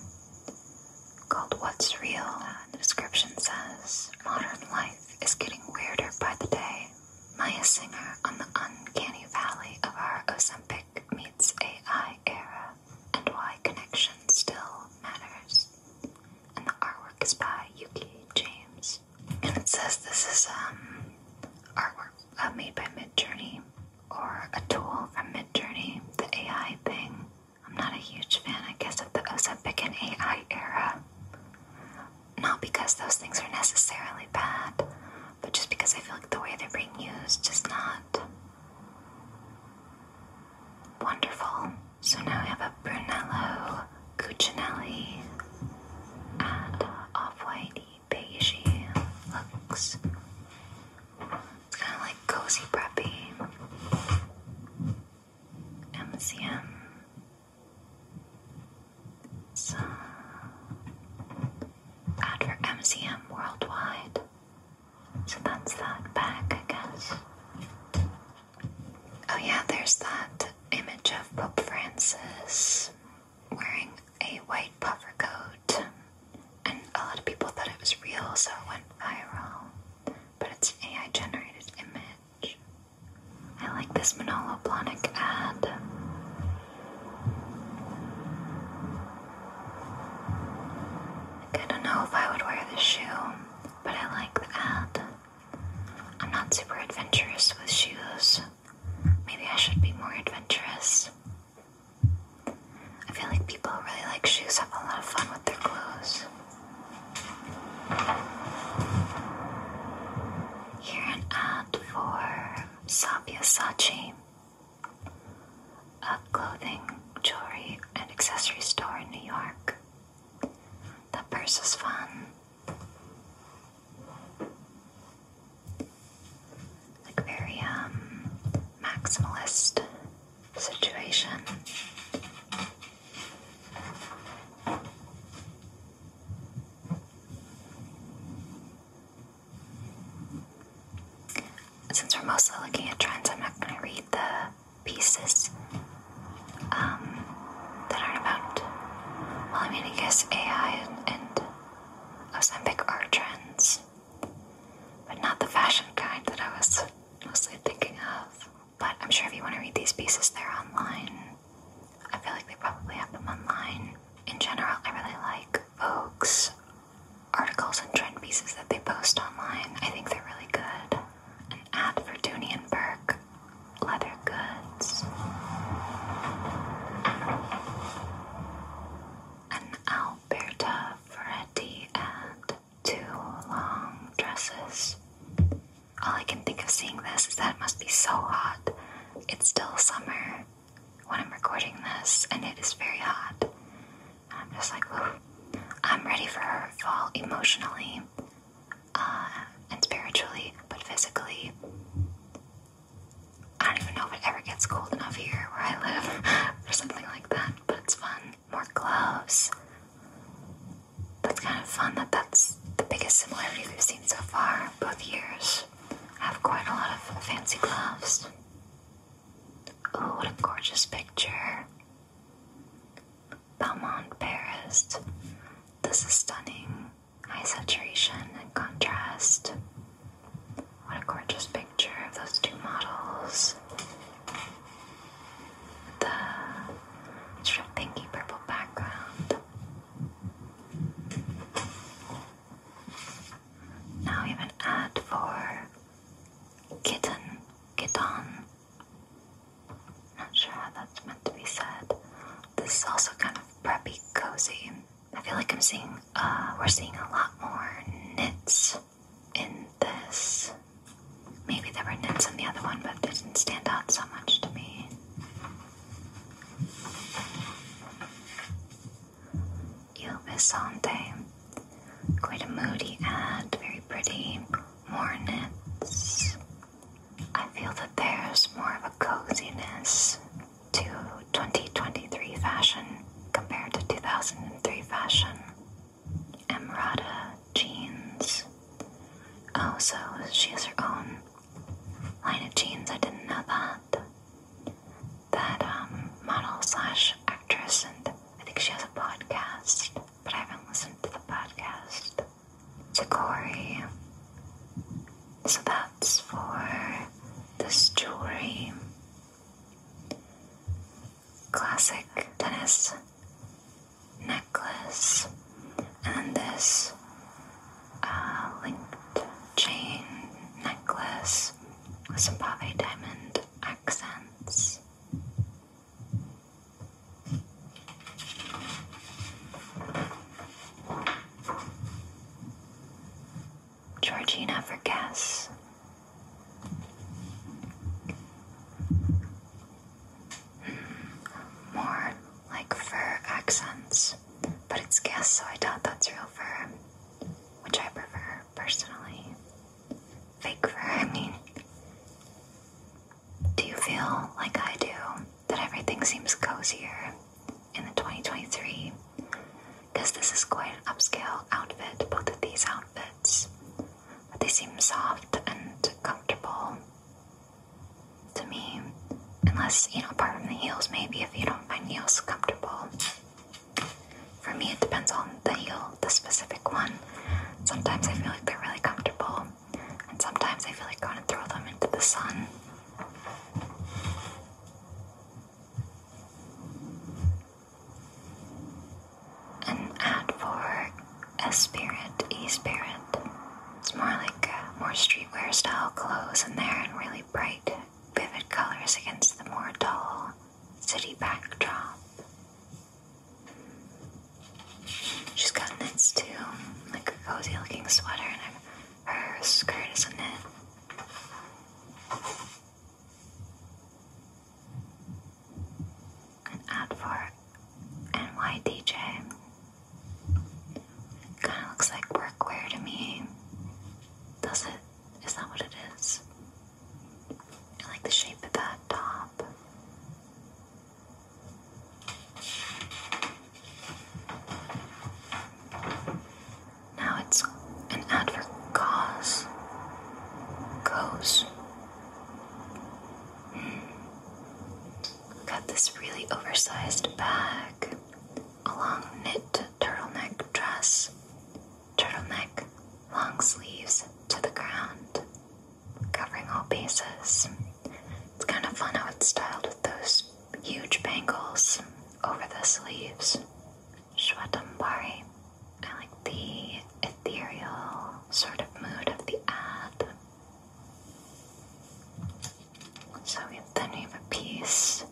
called What's Real, the description says Modern life is getting weirder by the day. Maya Singer on the uncanny valley of our Ozempic meets AI era and why connection still matters. And the artwork is by Yuki James. And it says this is um, artwork uh, made by Midjourney or a tool from Midjourney, the AI thing. I'm not a huge fan, I guess, of the Ozempic and AI era. Not because those things are necessarily bad, but just because I feel like the way they're being used is not wonderful. So now we have a Brunello Cucinelli and Off-White piggy looks. It's kind of like cozy preppy. MCM. So, ad for MCM worldwide. So that's that bag, I guess. Oh, yeah, there's that image of Pope Francis wearing a white puffer coat, and a lot of people thought it was real, so it went viral. But it's an AI generated image. I like this Manolo Blahnik ad. I don't know if I would wear this shoe, but I like the ad. I'm not super adventurous with shoes. Maybe I should be more adventurous. I feel like people really like shoes have a lot of fun with their clothes. Here an ad for Sabia Sachi, a clothing, jewelry, and accessory store in New York. The purse is fun like very um maximalist situation. Since we're mostly looking at trends, I'm not going to read the pieces um, that are about. I mean, I guess AI and Ozempic are trends, but not the fashion kind that I was mostly thinking of. But I'm sure if you want to read these pieces, they're online. I feel like they probably have them online. In general, I really like Vogue's articles and trend pieces that they post online. I think they're really good. An ad for Dooney and Burke leather goods an Alberta Ferretti and two long dresses. All I can think of seeing this is that it must be so hot. It's still summer when I'm recording this, and it is very hot. I'm just like, Ooh. I'm ready for fall emotionally uh, and spiritually, but physically, I don't even know if it ever gets cold enough here where I live or something like that, but it's fun. More gloves. That's kind of fun that that's the biggest similarity we've seen so far. Both years have quite a lot of fancy gloves. Oh, what a gorgeous picture. Belmont, Paris. This is stunning. High saturation and contrast. What a gorgeous picture of those two models. The sort pinky purple background. Now we have an ad for kitten, kitten. Not sure how that's meant to be said. This is also kind of preppy cozy. I feel like I'm seeing, uh, we're seeing a lot more knits in this. Maybe there were knits in the other one, but didn't stand out so much to me. Il Visante. Quite a moody ad, very pretty. More knits. I feel that there's more of a coziness to 2023 fashion compared to 2003 fashion. Emrata jeans. Oh, so she has her own line of jeans. I didn't know that. That um, model slash actress, and I think she has a podcast, but I haven't listened to the podcast. Sakori. So that's for this jewelry classic tennis necklace, and this uh, linked chain necklace with some pave diamond accents. Georgina Vergas. Mm, more like fur accents, but it's gas, so I doubt that's real fur, which I prefer personally. Fake fur, I mean. Do you feel like I do that everything seems cozier in the 2023 because this is quite an upscale outfit, both of these outfits. But they seem soft and comfortable to me. Unless, you know, apart from the heels, maybe if you don't find heels comfortable. For me, it depends on the heel, the specific one. Sometimes I feel like they're really comfortable, and sometimes I feel like I want to throw them into the sun. An ad for a spirit, e-spirit. It's more like more streetwear style clothes in there and really bright, vivid colors against the more dull city backdrop. She's got knits too, like a cozy looking sweater, and her skirt is a knit. An ad for NYDJ. Kind of looks like workwear to me. Does it? Is that what it is? I like the shape of that top. Now it's an ad cause. Goes. Hmm. Got this really oversized bag, a long knit turtleneck dress, turtleneck, long sleeves to the ground, covering all bases. It's kind of fun how it's styled with those huge bangles over the sleeves. Shwetambari. I like the ethereal sort of mood of the ad. So we then we have a piece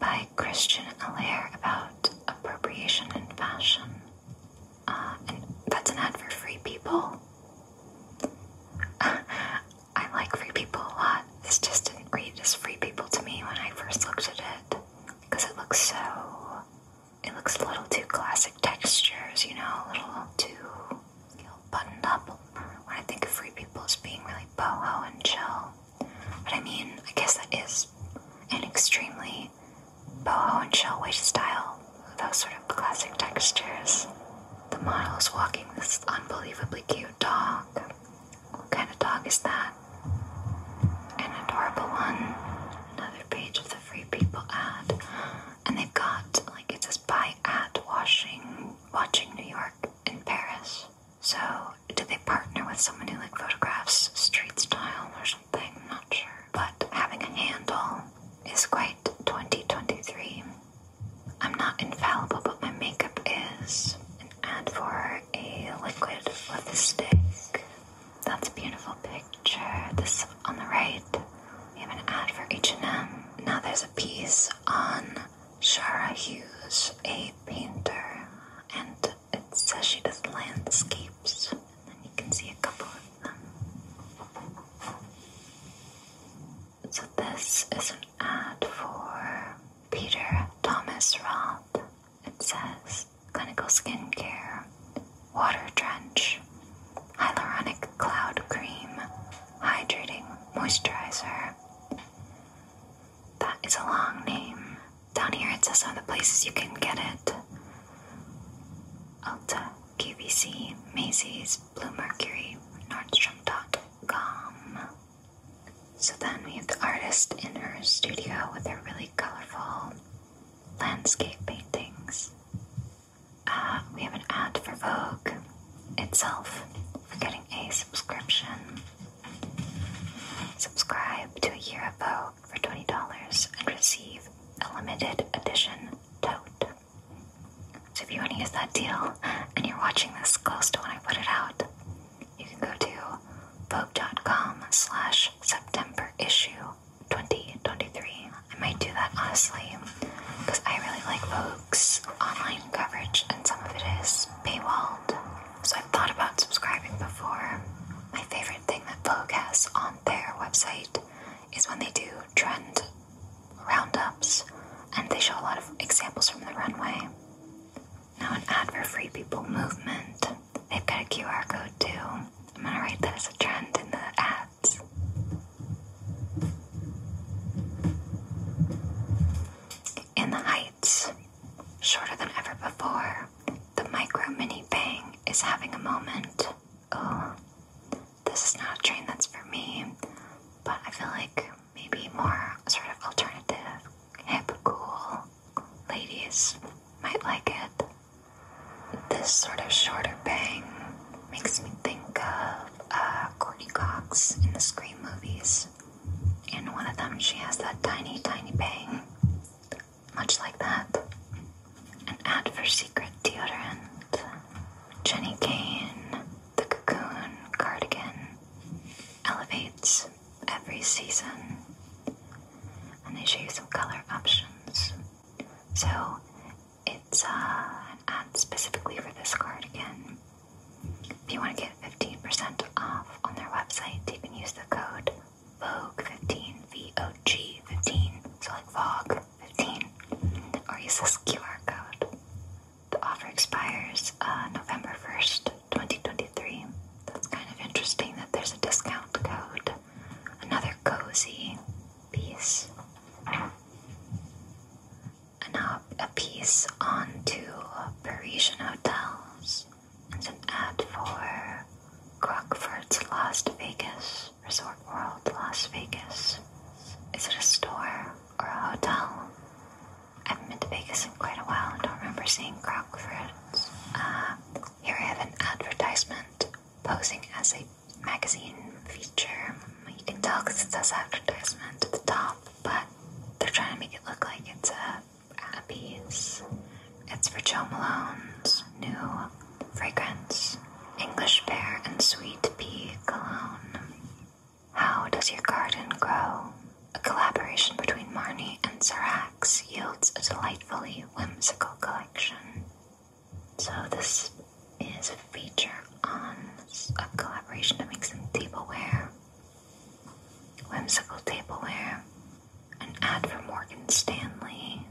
by Christian Allaire about appropriation in fashion. Uh, that's an ad for free people. I like free people a lot. This just didn't read as free people to me when I first looked at it because it looks so. It looks a little too classic textures, you know, a little too buttoned up. When I think of free people as being really boho and chill, but I mean, I guess that is an extremely boho and chill way to style those sort of classic textures. The model's walking this unbelievably cute dog. What kind of dog is that? An adorable one. Another page of the Free People ad. And they've got, like, it says buy ad, washing, watching New York and Paris. So, did they partner with someone who, like, photographs street style or something? I'm not sure. But having a handle is quite 2023. I'm not infallible, but my makeup is. An ad for a liquid with a stick. That's a beautiful picture. This on the right, we have an ad for H&M. Now there's a piece on Shara Hughes, a painter, and it says she does landscapes. And then you can see a couple of them. So this is an ad for Peter Thomas Roth. It says clinical skincare, water drench, hyaluronic cloud cream, hydrating moisturizer. That is a long name. Down here it says some of the places you can get it. Ulta, QVC, Macy's, Blue Mercury, Nordstrom dot com. So then we have the artist in her studio with her really colorful landscape paintings. Uh, we have an ad for Vogue itself for getting a subscription. Subscribe to a year of Vogue for $20 and receive a limited edition tote. So if you want to use that deal and you're watching this close to when I put it out, you can go to Vogue.com slash September issue 2023. I might do that honestly, because I really like Vogue's online coverage and some of it is paywalled. So I've thought about subscribing before. My favorite thing that Vogue has on their website is when they do trend roundups and they show a lot of examples from the runway. Now an ad for Free People Movement. They've got a QR code too. I'm gonna write that as a trend in the ads. In the heights, shorter than ever before, the micro mini bang is having a moment. Oh, this is not a trend that's for me, but I feel like maybe more sort of alternative, hip, cool, ladies might like it. This sort of shorter bang makes me think of uh, Courtney Cox in the Scream movies. In one of them, she has that tiny, tiny bang, much like that. An ad for secret deodorant, Jenny Kane, the cocoon cardigan, elevates every season and they show you some color options. So it's uh, an ad specifically for this card again. If you want to get 15% off on their website, you can use the code VOGUE15, V O G 15, so like VOG 15, or use this QR code. The offer expires uh, November 1st, 2023. That's kind of interesting that there's a discount code. Another cozy piece. And now a piece on Parisian hotels. It's an ad for Crockford's Las Vegas Resort World, Las Vegas. Is it a store or a hotel? I haven't been to Vegas in quite a while. I don't remember seeing Crockford's. Uh, here I have an advertisement posing as a magazine feature. You can tell because it says advertisement at the top, but they're trying to make it look like it's a, a piece. It's for Joe Malone's new fragrance, English pear and sweet pea cologne. How does your garden grow? A collaboration between Marnie and Sarat yields a delightfully whimsical collection. So this is a feature on a collaboration that makes some tableware, whimsical tableware, an ad for Morgan Stanley,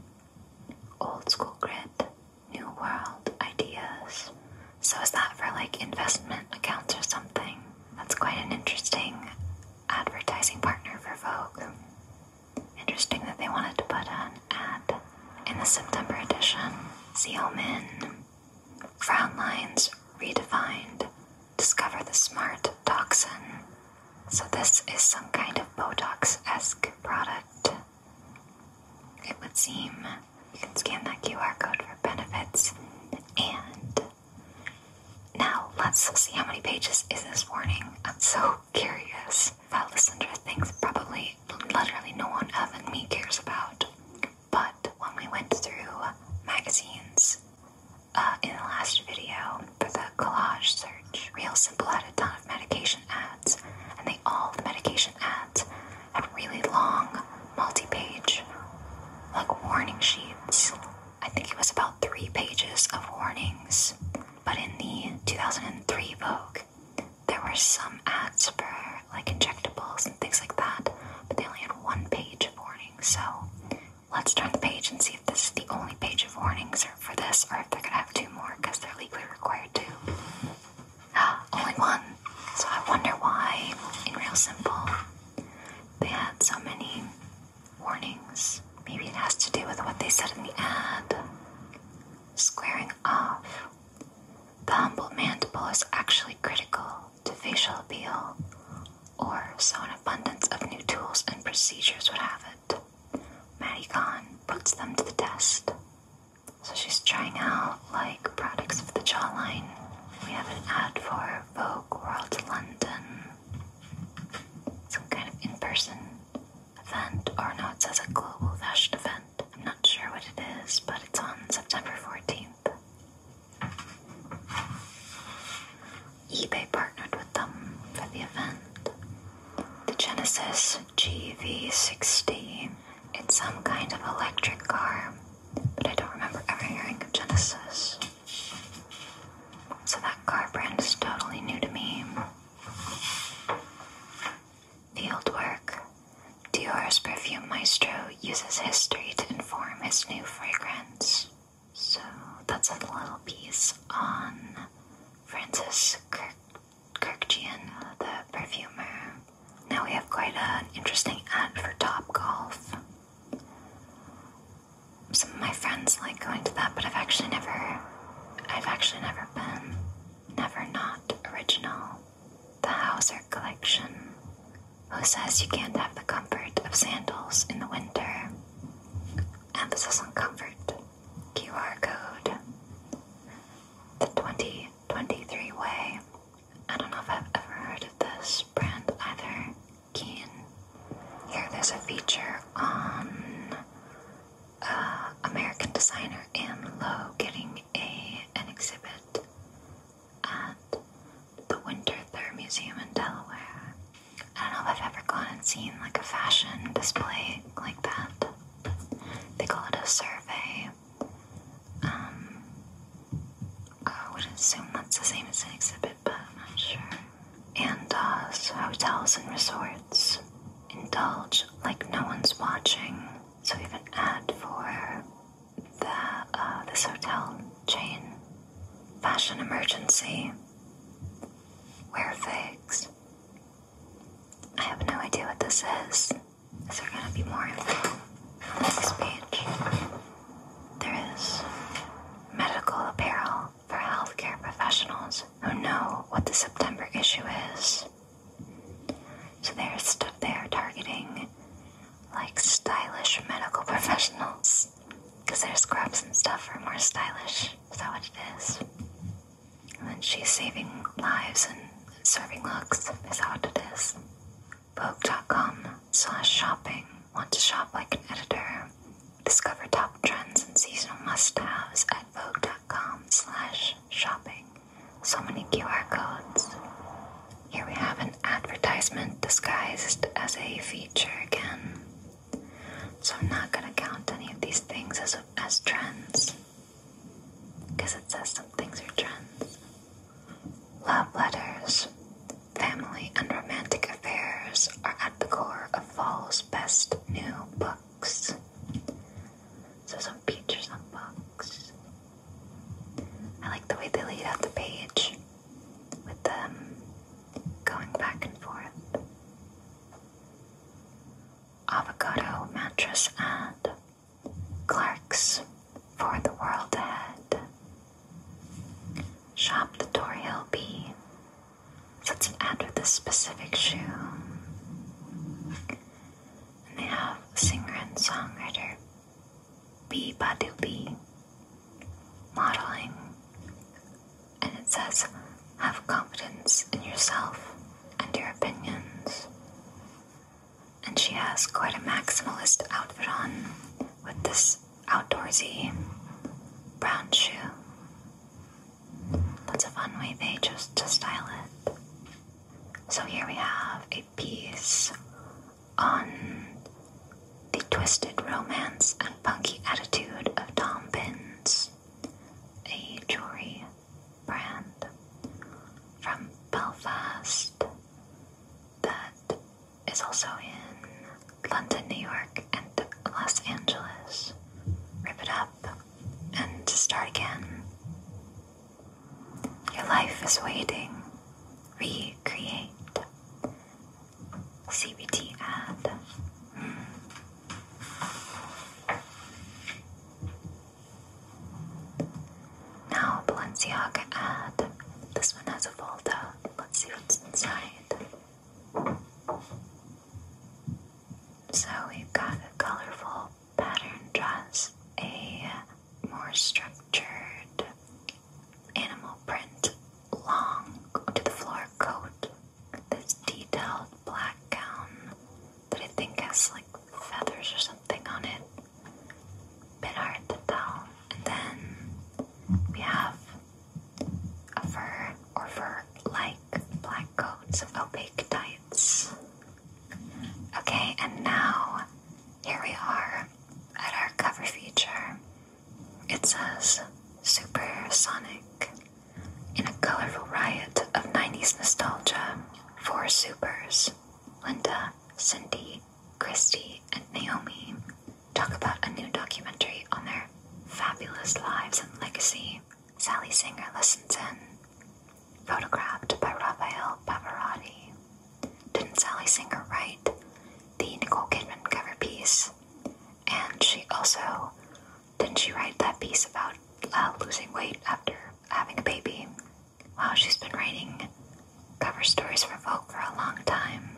old school grit, new world ideas. So is that for like investment accounts or something? That's quite an interesting advertising partner for Vogue. Interesting that they wanted to put an ad in the September edition. Zeo Min. Frown lines redefined. Discover the smart toxin. So this is some kind of Botox-esque product. It would seem you can scan that QR code for benefits. And now let's see how many pages is this warning. so curious. If I listen to things probably literally no one other than me cares about. But when we went through magazines uh, in the last video for the collage search, Real Simple had a ton of medication ads, and they all the medication ads had really long, multi-page, like warning sheets I think it was about three pages of warnings. But in the 2003 book, there were some ads for like injectables and things like that, but they only had one page of warnings. So let's turn the page and see if this is the only page of warnings for this, or if they're gonna have two more because they're legally required to. only one. So I wonder why, in Real Simple, they had so many warnings. Maybe it has to do with what they said in the ad. Squaring off. The humble mandible is actually critical to facial appeal, or so an abundance of new tools and procedures would have it. Maddie Khan puts them to the test. So she's trying out like products of the jawline. We have an ad for Vogue World London. Some kind of in person event or no, it says a global fashion event. I'm not sure what it is, but it's on September 14th. eBay partnered with them for the event. The Genesis gv 16 It's some kind of electric car, but I don't remember ever hearing of Genesis. So that car brand is totally new to me. Fieldwork Dior's perfume maestro uses history to inform his new fragrance. So that's a little piece on Francis Kirk Kirkjian, the perfumer. Now we have quite an interesting ad for Top Golf some of my friends like going to that, but I've actually never, I've actually never been. Never Not Original, the Hauser Collection. Who says you can't have the comfort of sandals in the winter? Emphasis on comfort. QR code. The 2023 Way. I don't know if I've ever heard of this brand either. Keen. Here there's a feature on uh, American designer Anne Lowe getting a an exhibit at the Winter Thur Museum in Delaware. I don't know if I've ever gone and seen like a fashion display like that. They call it a survey. Um, I would assume that's the same as an exhibit, but I'm not sure and us uh, hotels and resorts indulge like no one's watching. So we have an for the uh, this hotel chain. Fashion emergency. Wear figs. I have no idea what this is. Is there gonna be more info on this page? There is medical apparel for healthcare professionals who know what the September issue is. So there's stuff they are targeting, like stylish medical professionals, because their scrubs and stuff are more stylish. Is that what it is? And then she's saving lives and serving looks. Is that what it is? Vogue.com slash shopping. Want to shop like an editor? Discover top trends and seasonal must-haves at Vogue.com slash shopping. So many QR codes. Here we have an advertisement disguised as a feature again. So I'm not gonna count any of these things as as trends. Because it says some things are trends. Love letters, family and romantic affairs are at the core of fall's best new book bucks. So some peaches and bucks. I like the way they laid out the page with them going back and forth. Avocado mattress and, Clark's for the world ahead. Shop the Tori Hill Bee. That's an ad with this specific shoe. And they have singer and songwriter B. Badu B modeling. And it says, have confidence in yourself and your opinions. And she has quite a maximalist outfit on with this outdoorsy brown shoe. That's a fun way they just to style it. So here we have a piece on the twisted romance and punky attitude of Tom Pins, a jewelry brand from Belfast that is also in London, New York, and Los Angeles. Rip it up and to start again. Your life is waiting. Recreate. CBT ad. Hmm. Now, Balenciaga ad. This one has a fold Let's see what's inside. So we've got a colorful pattern dress, a more structured animal print, long to the floor coat, this detailed black gown that I think has like feathers or something on it. Bit hard to tell. And then we have a fur or fur like black black coats of opaque tights. Okay, and now here we are at our cover feature. It says Supersonic in a colorful riot of 90s nostalgia. For supers Linda, Cindy, Christy, and Naomi talk about a new documentary on their fabulous lives and legacy. Sally Singer listens in. Photographed by Raphael Pavarotti. Didn't Sally Singer write the Nicole Kidman cover piece? And she also didn't she write that piece about uh, losing weight after having a baby? Wow, she's been writing cover stories for Vogue for a long time.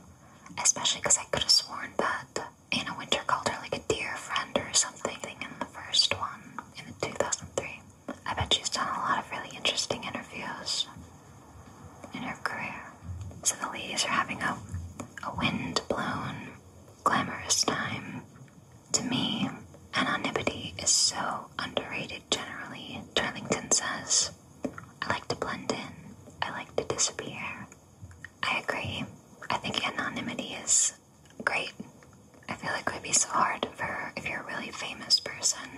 Especially because I could have sworn that Anna Winter called her like dear friend or something in the first one in 2003. I bet she's done a lot of really interesting interviews in her career. So the ladies are having a, a wind-blown, glamorous time. To me, anonymity is so underrated generally, Turlington says. I like to blend in. I like to disappear. I agree. I think anonymity is great. I feel like it would be so hard for if you're a really famous person.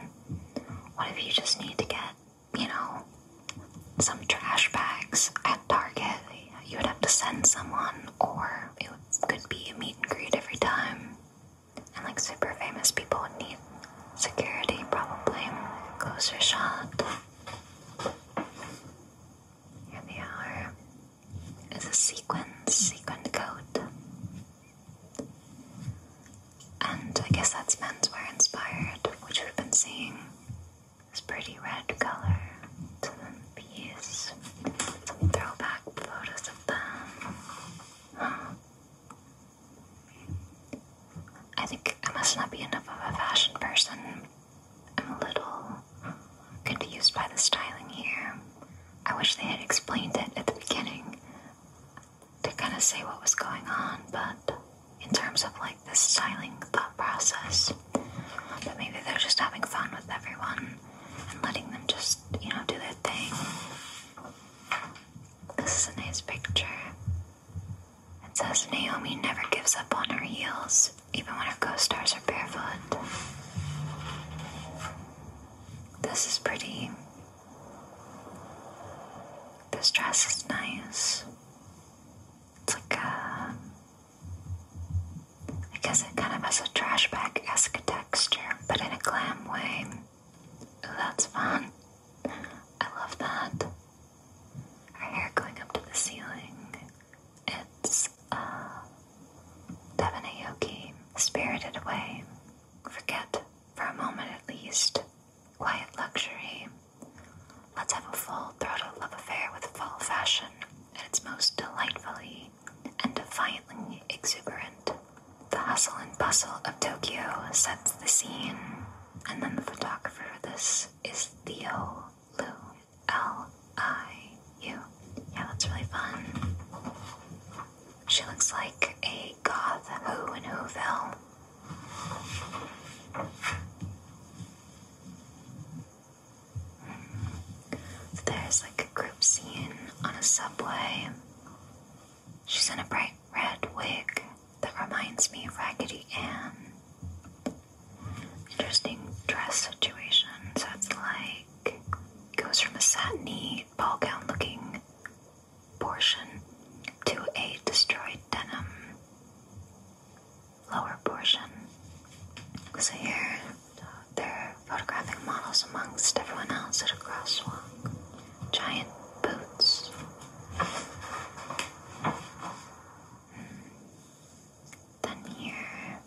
What if you just need to get, you know, some trash bags at Target? You would have to send someone, or it could be a meet and greet every time. And like super famous people would need security, probably. Closer shot. Here they are is a sequin, sequin coat. And I guess that's menswear inspired, which we've been seeing this pretty red color to the piece. Some throwback photos of them. I think I must not be enough of a fashion person. I'm a little could by the styling here. I wish they had explained it at the beginning to kind of say what was going on, but in terms of like the styling thought process, but maybe they're just having fun with everyone and letting them just, you know, do their thing. This is a nice picture. It says Naomi never gives up on her heels even when our co-stars are barefoot. This is pretty. This dress is nice. It's like a. Uh, I guess it kind of has a trash bag esque texture, but in a glam way. that's fun. I love that. Our hair going up to the ceiling. It's a Devana Yogi, Spirited Away, Forget for a moment at least, Quiet Luxury. Let's have a full throated love affair with fall fashion at its most delightfully and defiantly exuberant. The hustle and bustle of Tokyo sets the scene, and then the photographer for this is Theo Lu. L I U. Yeah, that's really fun. She looks like a goth who in who fell? there's like a group scene on a subway. She's in a bright red wig that reminds me of Raggedy Ann. Interesting dress situation. That's like goes from a satiny ball gown looking portion to a destroyed denim lower portion. So here they're photographing models amongst everyone else at a crosswalk. Giant boots. Hmm. Then here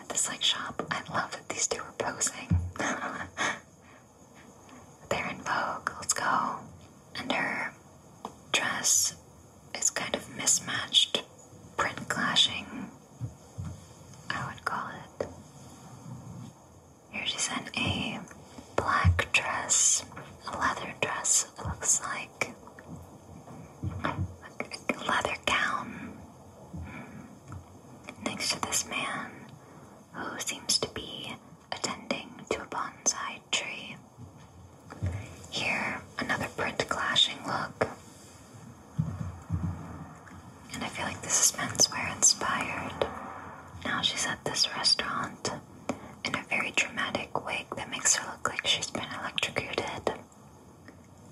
at this like shop, I love that these two are posing. They're in Vogue. Let's go. And her dress is kind of mismatched, print clashing. I would call it. Here she's in a black dress, a leather dress. It looks like a leather gown. Hmm next to this man who seems to be attending to a bonsai tree. Here, another print clashing look. And I feel like this is menswear inspired. Now she's at this restaurant in a very dramatic wig that makes her look like she's been electrocuted.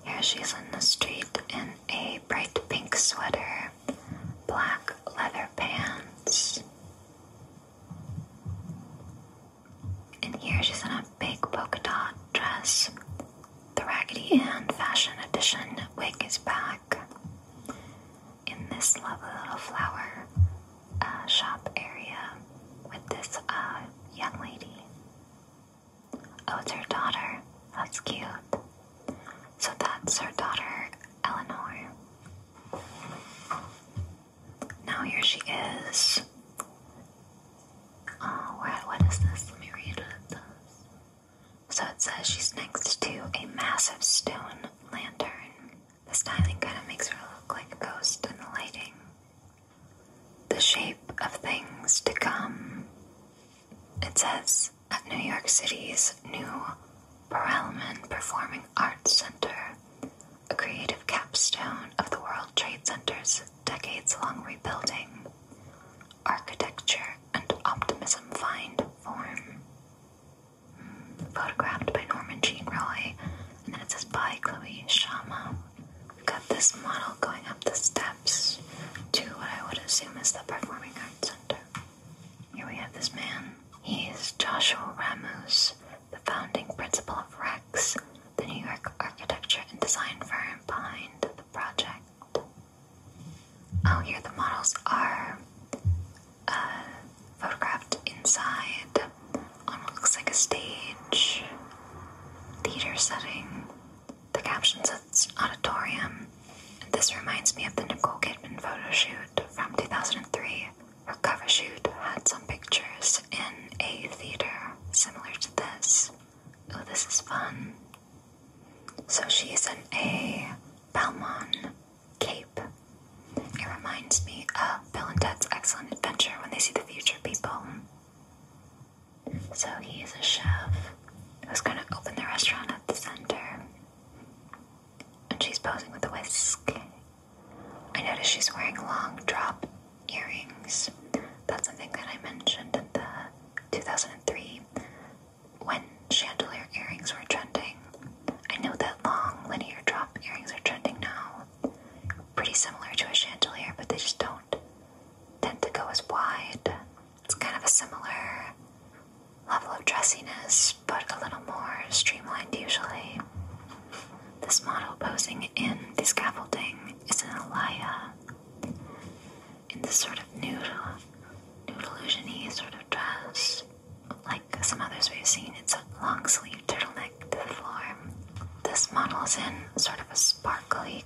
Here she's in the street in a bright pink sweater, black leather pants. And here she's in a big polka dot dress. The Raggedy Ann Fashion Edition wig is back in this lovely little flower uh, shop area with this uh, young lady. Oh, it's her daughter. That's cute. So that's her daughter, Eleanor. Now here she is. Oh, what, what is this? Let me read it. So it says she's next to a massive stone lantern. The styling kind of makes her look like a ghost in the lighting. The shape of things to come. It says at New York City's new Perelman Performing Arts Center, a creative capstone of the World Trade Center's decades long rebuilding, architecture and optimism find form. Hmm, photographed by Norman Jean Roy, and then it says by Chloe Shama. We've got this model going up the steps to what I would assume is the Performing Arts Center. Here we have this man. He's Joshua Ramos, the founding principal of Rex, the New York architecture and design firm behind the project. Oh, here the models are uh, photographed inside on what looks like a stage, theater setting, the caption says auditorium. And this reminds me of the Nicole Kidman photo shoot from 2003. Her cover shoot had some pictures in a theater similar to this. Oh, this is fun. So she's in a Balmain cape. It reminds me of Bill and Ted's Excellent Adventure when they see the future people. So he is a chef who's going to open the restaurant at the center. And she's posing with a whisk. I notice she's wearing long drop earrings. That's something that I mentioned in the 2003 when chandelier earrings were trending. I know that long linear drop earrings are trending now. Pretty similar to a chandelier, but they just don't out, tend to go as wide. It's kind of a similar level of dressiness, but a little more streamlined usually. This model posing in the scaffolding is in a Elia in this sort of nude, nude illusiony sort of dress. Like some others we've seen, it's a long sleeve turtleneck to the floor. This model is in sort of a sparkly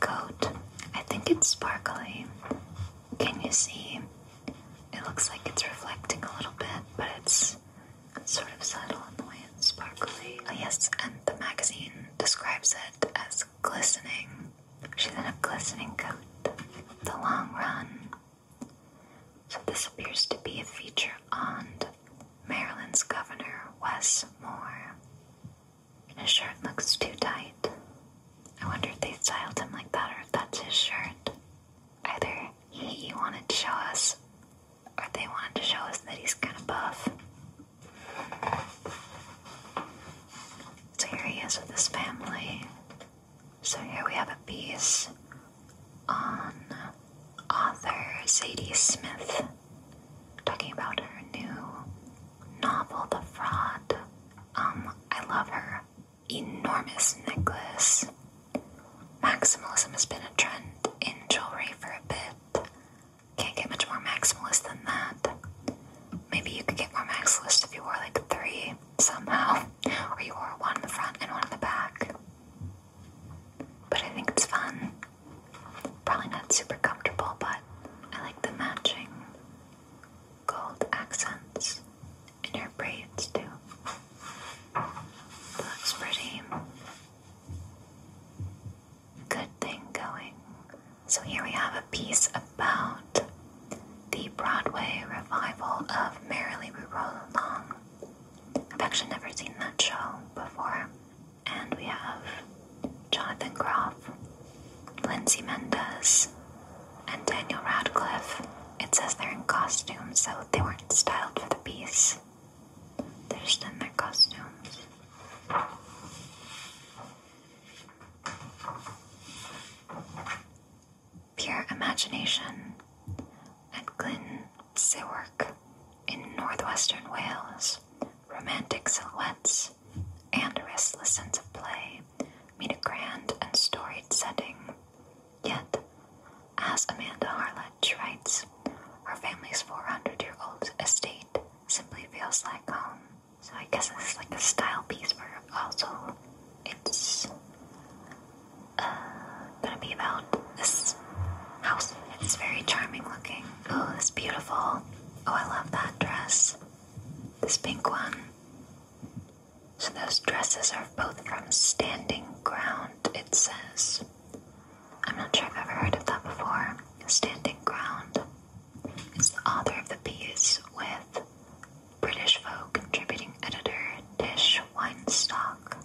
coat. I think it's sparkly. Can you see? It looks like it's reflecting a little bit, but it's sort of subtle and the sparkly. Oh, yes, and the magazine describes it as glistening. She's in a glistening coat. The long run. So, this appears to be a feature on Maryland's Governor Wes Moore. His shirt looks too tight. I wonder if they styled him like that or if that's his shirt. Either he wanted to show us or they wanted to show us that he's kind of buff. So here he is with his family. So here we have a piece on author Sadie Smith talking about her new novel, The Fraud. Um, I love her enormous necklace. Maximalism has been a trend in jewelry for a bit. Can't get much more maximalist than that. Maybe you could get more maximalist if you wore like three somehow, or you wore one in the front and one in the back. But I think it's fun. Probably not super comfortable, but I like the matching gold accents in her braids too. Looks pretty. Good thing going. So here we have a piece about the Broadway revival of Merrily We Roll Along. I've actually never seen that show before. And we have Jonathan Groff Lindsay Mendez, and Daniel Radcliffe. It says they're in costumes, so they weren't styled for the piece. They're just in their costumes. Pure Imagination at Glyn in northwestern Wales. Romantic silhouettes and a restless sense of play meet a grand and storied setting. Yet, as Amanda Harlech writes, her family's 400 year old estate simply feels like home. So, I guess this is like a style piece where also it's uh, gonna be about this house. It's very charming looking. Oh, it's beautiful. Oh, I love that dress. This pink one. So those dresses are both from Standing Ground, it says. I'm not sure I've ever heard of that before. Standing Ground is the author of the piece with British Vogue contributing editor Tish Weinstock.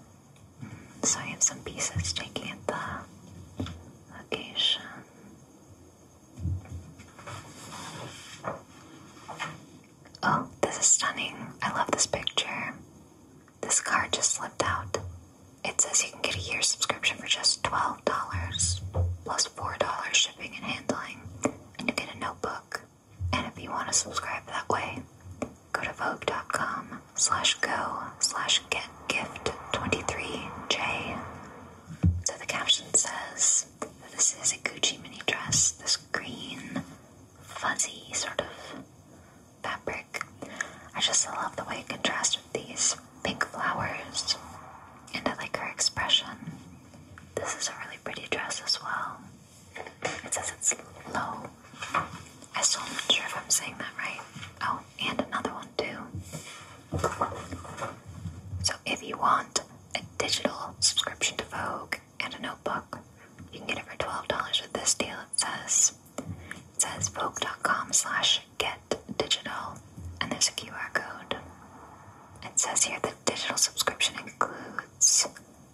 So I have some pieces taking at the location. Oh, this is stunning. I love this picture. This card just slipped out. It says you can get a year subscription for just $12 plus $4 shipping and handling, and you get a notebook. And if you want to subscribe that way, go to vogue.com slash go slash get 23j. So the caption says, this is a Gucci mini dress, this green, fuzzy sort of fabric. I just love the way it contrasts with these pink flowers, and I like her expression. This is a really pretty dress as well. It says it's low. I still am not sure if I'm saying that right. Oh, and another one too if you want a digital subscription to Vogue and a notebook, you can get it for $12 with this deal. It says it says Vogue.com slash get digital and there's a QR code. It says here the digital subscription includes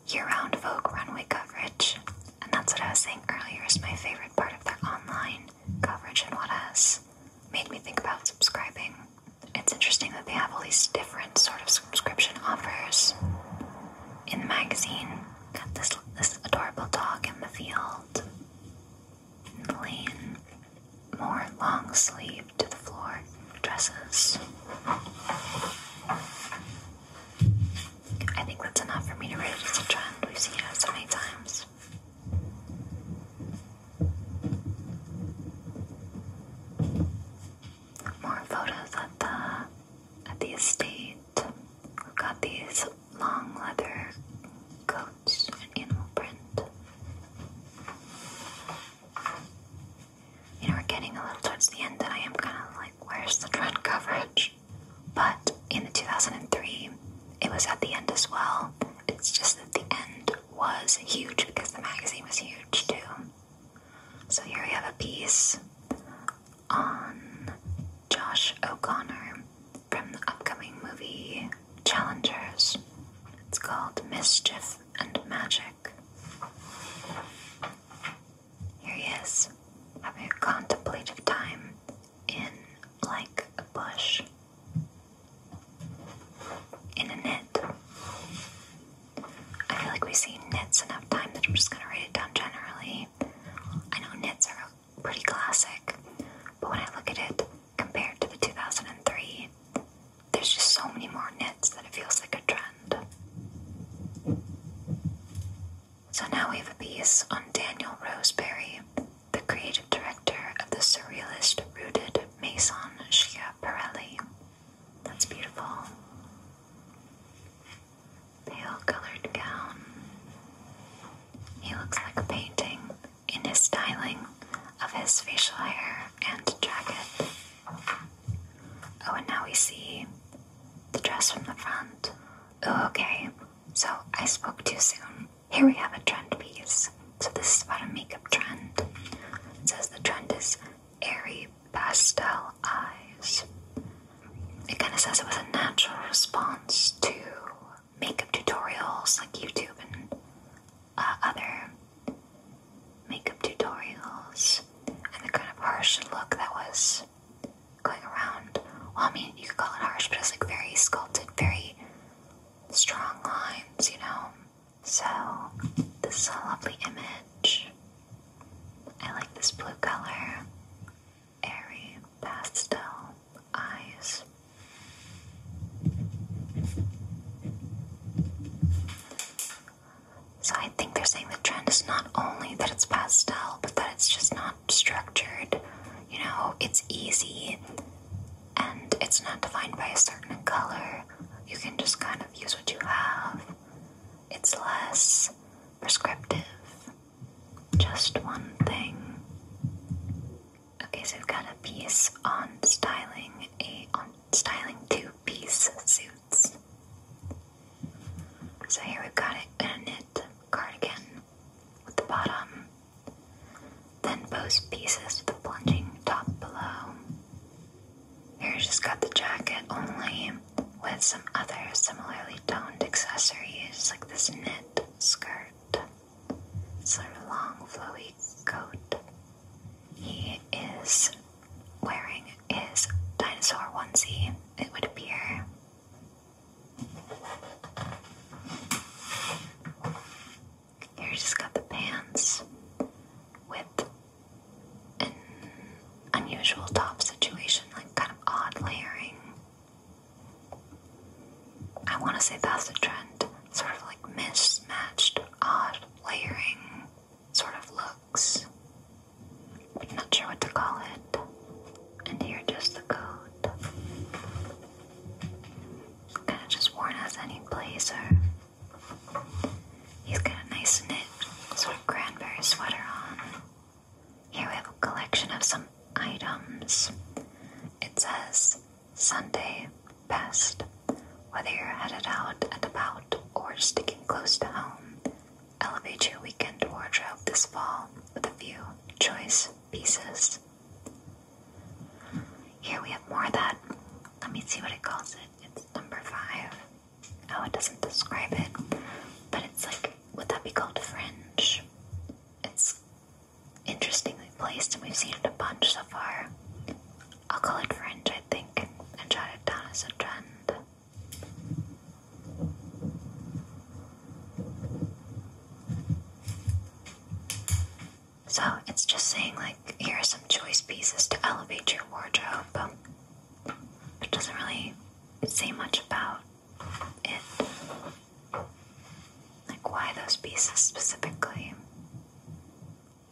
year-round Vogue runway coverage. And that's what I was saying earlier is my favorite part of their online coverage and what has made me think about subscribing it's interesting that they have all these different sort of subscription offers in the magazine. Got this this adorable dog in the field, in the lane. More long sleeve to the floor dresses. I think that's enough for me to rate it as a trend. We've seen it so many times. More photos at the at the estate. We've got these long leather coats and animal print. You know, we're getting a little towards the end, and I am kind of like, where's the trend coverage? But in the 2003, it was at the end as well. It's just at the end was huge because the magazine was huge too. So here we have a piece on Josh O'Connor from the upcoming movie Challengers. It's called Mischief and Magic. Here he is, having a contemplative time in like a bush in a knit. I feel like we see seen knits enough time that I'm just gonna write it down generally. I know knits are pretty classic, but when I look at it compared to the 2003, there's just so many more knits that it feels like a trend. So now we have a piece on Daniel Roseberry, the creative director of the surrealist rooted Maison Schiaparelli. That's beautiful. Pale colored gown. He looks like a painting in his styling of his facial hair and jacket. Oh, and now we see the dress from the front. Oh, okay. So I spoke too soon. Here we have a trend piece. So this is about a makeup trend. says the trend is airy pastel eyes. It kind of says it was a natural response to makeup tutorials like YouTube and uh, other makeup tutorials and the kind of harsh look that was going around. I mean, you could call it harsh, but it's like very sculpted, very strong lines, you know? So, this lovely image. I like this blue color. Airy pastel eyes. So, I think they're saying the trend is not only that it's pastel, but that it's just not structured. You know, it's easy and it's not defined by a certain color. You can just kind of use what you have. It's less prescriptive. Just one thing. Okay, so we've got a piece on styling a on styling two-piece suits. So here we've got it in a knit cardigan with the bottom. Then both pieces with the plunging top below. Here she's got the jacket only with some other similarly toned accessories like this knit skirt, sort of long flowy coat. He is wearing his dinosaur onesie, it would appear. Here she's got the pants with an unusual top situation, like kind of odd layering. I want to say that's the trend, sort of like mismatched, odd layering sort of looks. i not sure what to call it. And here, just the coat. Kind of just worn as any blazer. He's got a nice knit sort of cranberry sweater on. Here we have a collection of some items. It says Sunday best. Whether you're headed out and about or sticking close to home, elevate your weekend wardrobe this fall with a few choice pieces. Here we have more that. Let me see what it calls it. It's number five. Oh, it doesn't describe it, but it's like, would that be called fringe? It's interestingly placed, and we've seen it a bunch so far. I'll call it fringe, I think, and jot it down as a trend. So it's just saying, like, here are some choice pieces to elevate your wardrobe. It doesn't really say much about it. Like why those pieces specifically.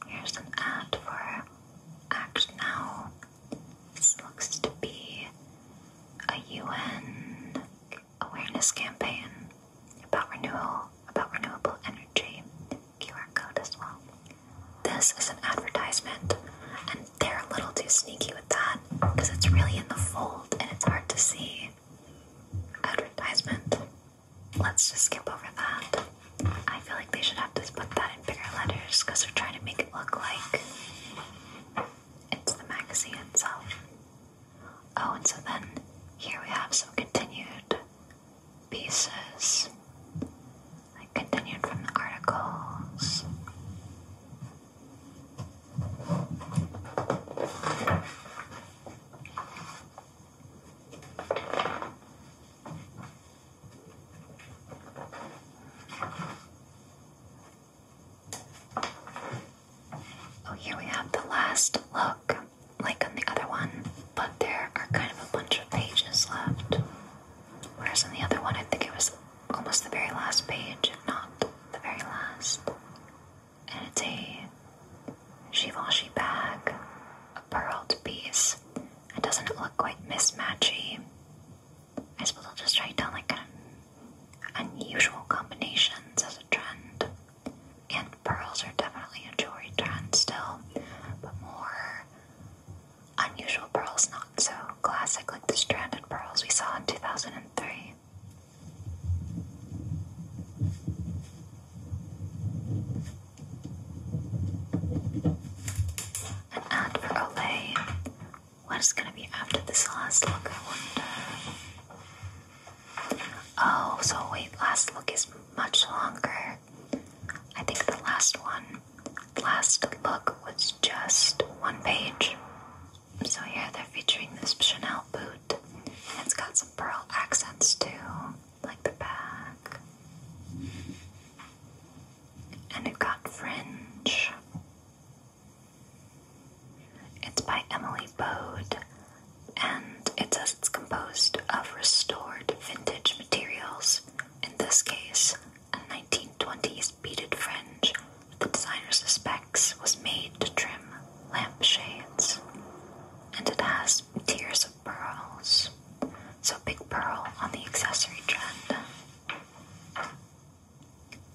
Here's an ad for Act Now. This looks to be a UN awareness campaign about renewal, about renewable energy. QR code as well. This is an advertisement, and they're a little too sneaky with that because it's really in the fold and it's hard to see. Advertisement. Let's just skip over that. I feel like they should have just put that in bigger letters because they're trying to make it look like it's the magazine itself. Oh, and so then here we have some continued pieces. I continued from the articles. Oh, here we have the last look, like on the other one, but there are kind of a bunch of pages left. Whereas in the other one, I think it was almost the very last page, if not the very last. And it's a Givenchy bag, a pearled piece. It doesn't look quite mismatchy. I suppose I'll just write down like kind unusual combinations as a trend. And pearls are definitely a jewelry trend still, but more Unusual pearls, not so classic like the stranded pearls we saw in 2003. An ad for What is going to be after this last look, I wonder? Oh, so wait, last look is much longer. I think the last one last look was just one page. So yeah, they're featuring this Chanel boot. It's got some pearl accents too, like the back. And it has got fringe. It's by Emily Bode, and it says it's composed of restored vintage materials, in this case, a 1920s beaded fringe the designer suspects was made to trim lamp shades, And it has tiers of pearls. So big pearl on the accessory trend.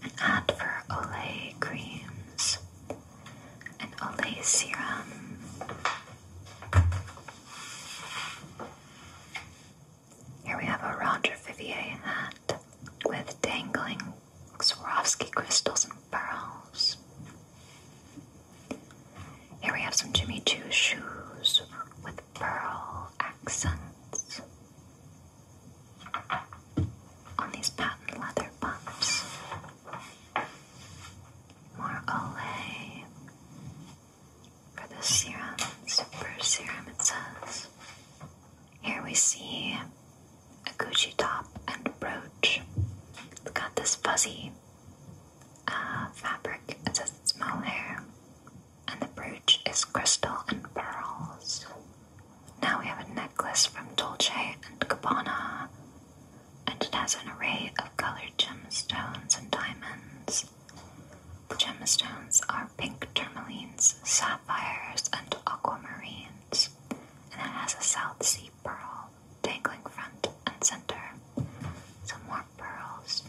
An ad for Olay creams. An Olay serum. Here we have a Roger Vivier hat with dangling Swarovski crystals and pearls. Here we have some Jimmy Choo shoes with pearl accents on these patent leather bumps. More Olay for the serum, super serum it says. Here we see a Gucci top and brooch. It's got this fuzzy uh, fabric. It says it's mohair. And the brooch is crystal and pearls. Now we have a necklace from Dolce and Gabbana. And it has an array of colored gemstones and diamonds. The Gemstones are pink tourmalines, sapphires, and aquamarines, and it has a South Sea pearl dangling front and center. Some more pearls.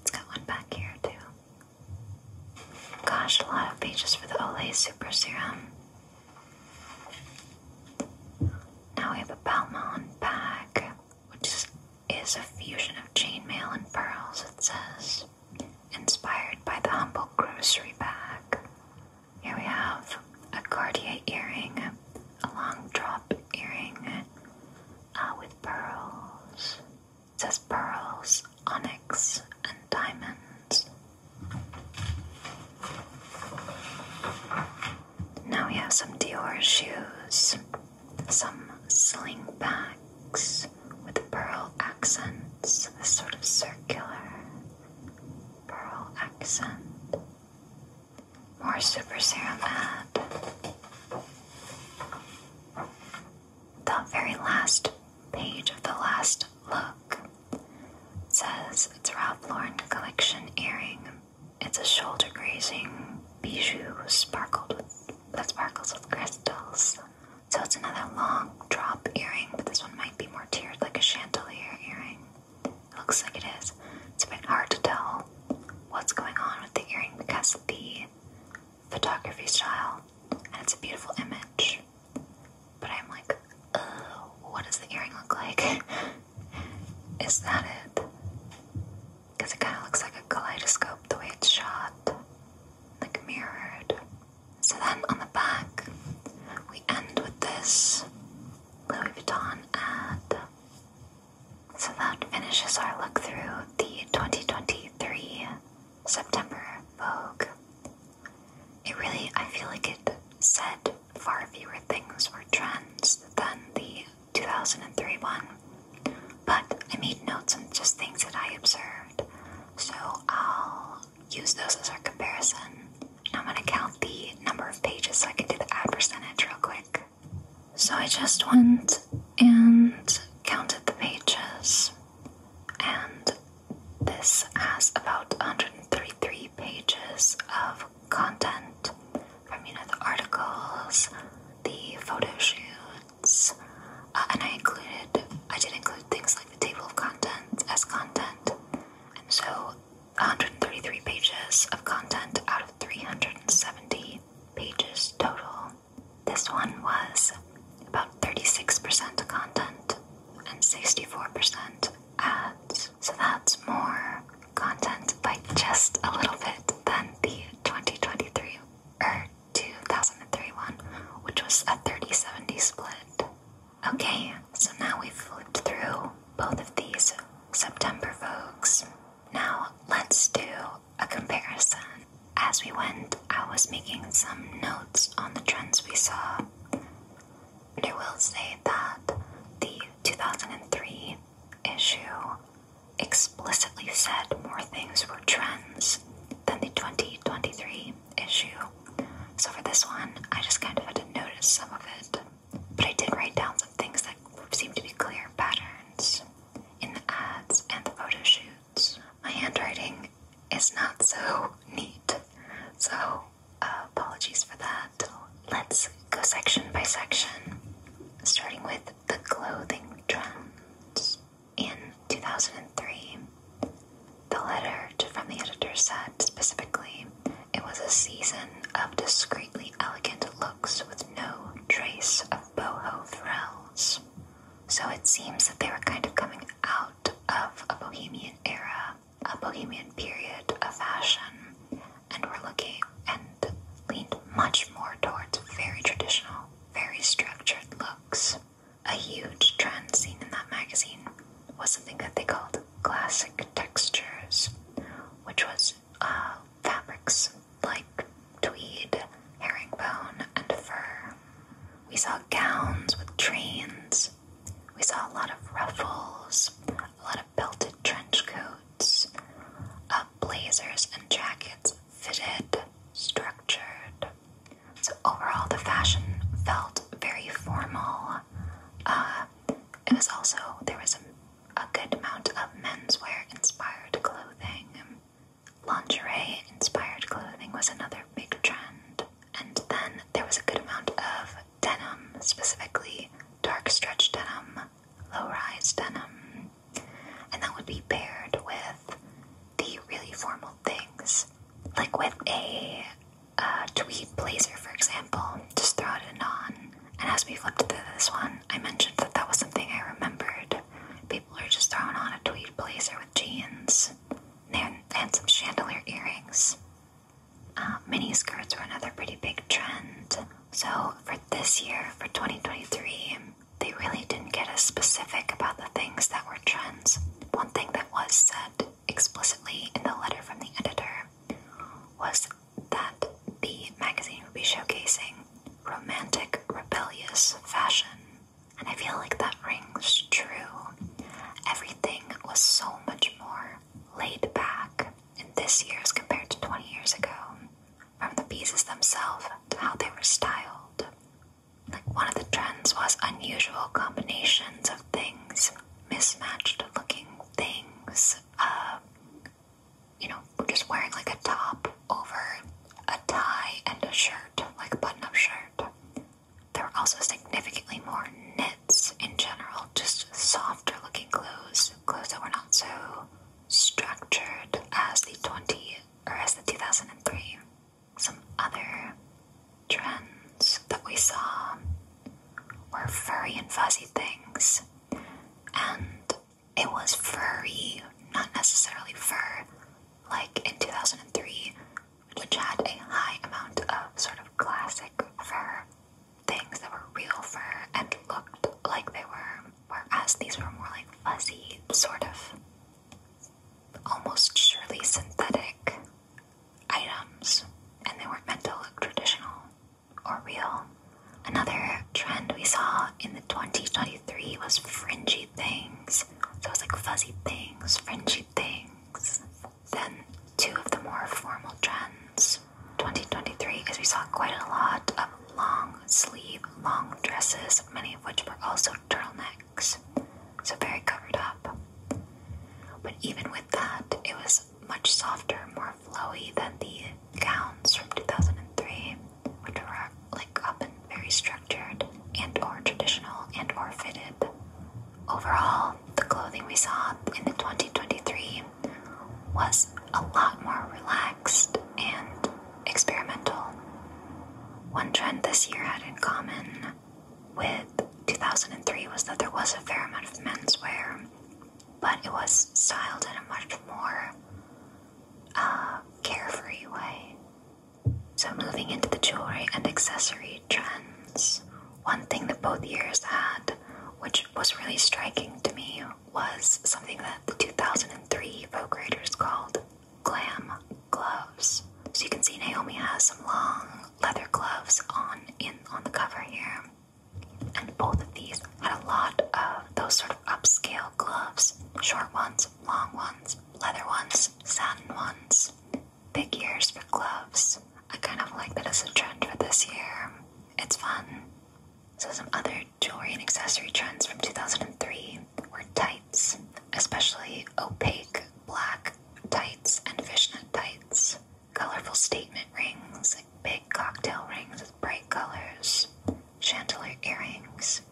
It's got one back here, too. Gosh, a lot of pages for the Olay Super Serum. Now we have a Balmain bag, which is is a fusion of chainmail and pearls, it says, inspired by the humble grocery bag. Here we have a Cartier earring, a long drop earring uh, with pearls. says pearls, onyx, and diamonds. Now we have some Dior shoes some sling backs with pearl accents, a sort of circular pearl accent. More Super Serum ad. The very last page of the last look says it's Ralph Lauren collection earring. It's a shoulder grazing bijou sparkled with that sparkles with crystals. So it's another long drop earring, but this one might be more tiered like a chandelier earring. It looks like it is. It's a bit hard to tell what's going on with the earring because of the photography style, and it's a beautiful image. But I'm like, oh, what does the earring look like? is that it? because it kind of looks like a kaleidoscope the way it's shot, like mirrored. So then on the back, we end with this Louis Vuitton ad. So that finishes our look through the 2023 September Vogue. It really, I feel like it said far fewer things or trends than the 2003 one. But I made notes on just things that I observed, so I'll use those as our comparison. Now I'm going to count the number of pages so I can do the add percentage real quick. So I just went and counted the pages, and this has about 133 pages of content from, you know, the articles, the photo shoot. Uh, and I included, I did include things like the table of contents as content, and so 133 pages of content out of 370 pages total. This one was about 36% content and 64% ads, so that's more content by just a little bit than the 2023 er 2003 one, which was a 30 70 split. Okay, so now we've flipped through both of these September Vogues. Now let's do a comparison. As we went, I was making some notes on the trends we saw. And I will say that the 2003 issue explicitly said more things were trends than the 2023 issue. So for this one, I just kind of had to notice some of it. But I did write down some things that seemed to be clear patterns in the ads and the photo shoots. My handwriting is not so neat, so apologies for that. Let's go section by section, starting with the clothing trends. In 2003, the letter from the editor said specifically it was a season of discreetly elegant looks with no trace of boho thrills. So it seems that they were kind of coming out of a bohemian era, a bohemian period of fashion, and were looking and leaned much more towards very traditional, very structured looks. A huge trend seen in that magazine was something that they called classic textures, which was uh, fabrics like tweed, herringbone, and fur. We saw gowns with trains. We saw a lot of ruffles, a lot of belted trench coats, uh, blazers and jackets fitted, structured. So overall, the fashion felt very formal. Uh, it was also there was a, a good amount of menswear inspired clothing. Lingerie inspired clothing was another big trend, and then there was a good amount of denim, specifically dark stretch denim, low rise denim, and that would be paired with the really formal things, like with a tweed blazer, for example. Just throw it on. And as we flip through this one, I mentioned that that was something I remembered. People are just throwing on a tweed blazer with jeans and, some chandelier earrings. Uh, mini skirts were another pretty big trend. So for this year, for 2023, they really didn't get as specific about the things that were trends. One thing that was said explicitly in the letter from the editor was that the magazine would be showcasing romantic, rebellious fashion. And I feel like that rings true. Everything was so much more laid back in this year as compared to 20 years ago, from the pieces themselves to how they were styled like one of the trends was unusual combinations of things, mismatched looking things, uh, you know, just wearing like a top over a tie and a shirt, like a button up shirt. There were also significantly more knits in general, just softer looking clothes, clothes that were not so structured as the 20 or as the 2003 some other trends that we saw were furry and fuzzy things, and it was furry, not necessarily fur, like in 2003, which had a high amount of sort of classic fur things that were real fur and looked like they were, whereas these were more like fuzzy sort of almost surely synthetic items, and they weren't meant to look traditional or real. Another trend we saw in the 2023 was fringy things. So it was like fuzzy things, fringy things. Then two of the more formal trends 2023 is we saw quite a lot of long sleeve, long dresses, many of which were also turtleneck so very covered up. But even with that, it was much softer, more flowy than the gowns from 2003, which were like up and very structured and or traditional and or fitted. Overall, the clothing we saw in the 2023 was a lot more relaxed and experimental. One trend this year had in common with 2003 was that there was a fair amount of menswear, but it was styled in a much more uh, carefree way. So, moving into the jewelry and accessory trends, one thing that both years had, which was really striking to me, was something that the 2003 Vogue Raiders called glam gloves. So you can see Naomi has some long leather gloves on in on the cover here. And both of these had a lot of those sort of upscale gloves. Short ones, long ones, leather ones, satin ones. Big ears for gloves. I kind of like that as a trend for this year. It's fun. So some other jewelry and accessory trends from 2003 were tight especially opaque black tights and fishnet tights, colorful statement rings, like big cocktail rings with bright colors, chandelier earrings,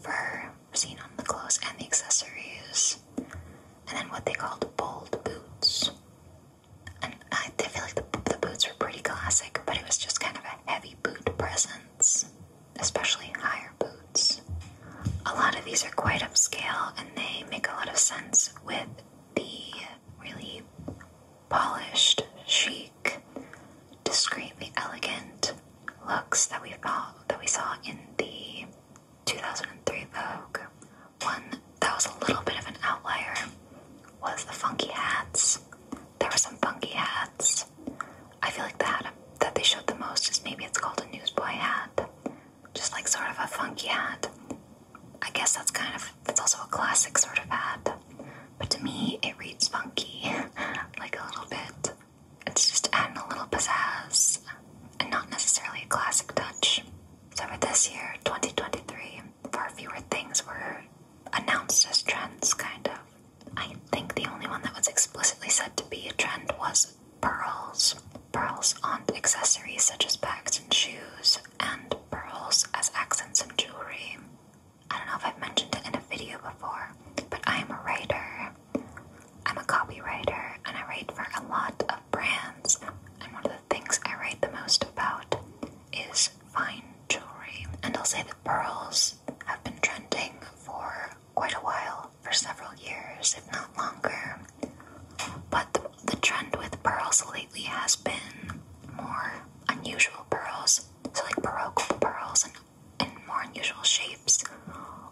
fur seen on the clothes and the accessories, and then what they called bold boots. And I feel like the boots were pretty classic, but it was just kind of a heavy boot presence especially higher boots. A lot of these are quite upscale and they make a lot of sense with the really polished, chic, discreetly elegant looks that we thought that we saw in the 2003 Vogue. One that was a little bit of an outlier was the funky hats. There were some funky hats. I feel like the hat that they showed the most is maybe it's called a newsboy hat. Just like sort of a funky hat. I guess that's kind of, that's also a classic sort of hat. But to me, it reads funky, like a little bit. It's just adding a little pizzazz and not necessarily a classic touch. So for this year, 2023, far fewer things were announced as trends, kind of. I think the only one that was explicitly said to be a trend was pearls. Pearls on accessories such as bags and shoes, and pearls as accents in jewelry. I don't know if I've mentioned it in a video before, but I am a writer. I'm a copywriter, and I write for a lot of brands. And one of the things I write the most about is fine jewelry. And I'll say that pearls have been trending for quite a while for several years, if not longer. But the, trend with pearls lately has been more unusual pearls, so like baroque pearls and in more unusual shapes,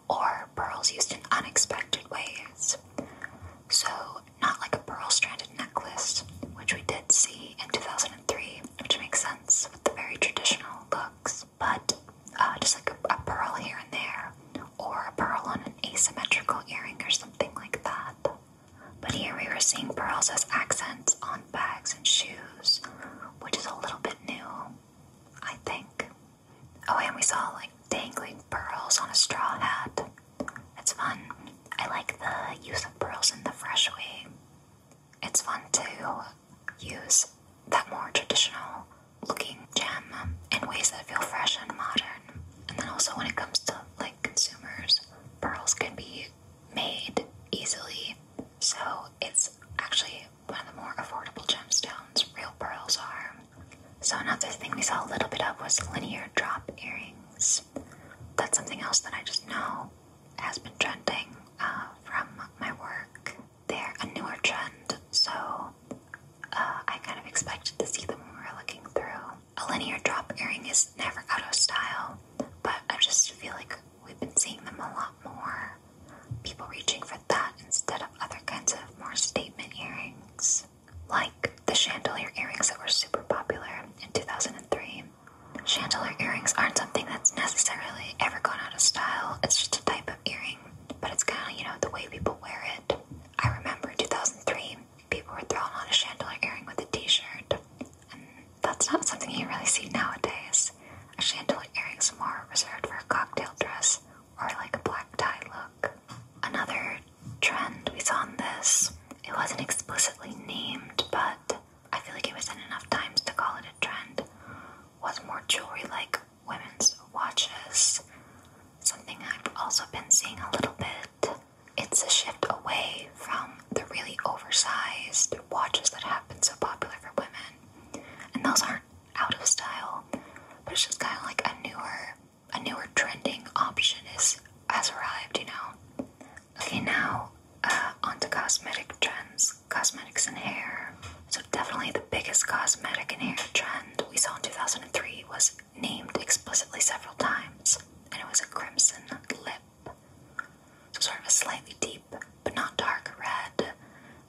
or pearls used in unexpected ways. So, not like a pearl stranded necklace, which we did see in 2003, which makes sense with the very traditional looks but uh, just like a, a pearl here and there, or a pearl on an asymmetrical earring or something like that. But here we were seeing pearls as accents on bags and shoes, which is a little bit new, I think. Oh, and we saw like dangling pearls on a straw hat. It's fun. I like the use of pearls in the fresh way. It's fun to use that more traditional looking gem um, in ways that feel fresh and modern. And then also when it comes to like consumers, pearls can be made easily. So it's actually one of the more affordable gemstones real pearls are. So another thing we saw a little bit of was linear drop earrings. That's something else that I just know has been trending uh, from my work they're a newer trend, so uh, I kind of expected to see them when we were looking through. A linear drop earring is never out of style, but I just feel like we've been seeing them a lot more. People reaching for that instead of other kinds of more statement earrings, like the chandelier earrings that were super popular in 2003. Chandelier earrings aren't something that's necessarily ever gone out of style, it's just a type earring, but it's kind of, you know, the way people wear it. I remember in 2003, people were throwing on a chandelier earring with a t shirt, and that's not something you really see nowadays. A chandelier earring's more reserved for a cocktail dress or like a black tie look. Another trend we saw in this, it wasn't explicitly named, but I feel like it wasn't enough times to call it a trend, was more jewelry like women's watches. Something I've also been seeing a little bit. It's a shift away from the really oversized watches that have been so popular for women. And those aren't out of style, but it's just kind of like a newer, a newer trending option is has arrived, you know. Okay, now uh, onto cosmetic trends, cosmetics and hair. So definitely the biggest cosmetic and hair trend we saw in 2003 was named explicitly several times, and it was a crimson lip. So sort of a slightly deep but not dark red,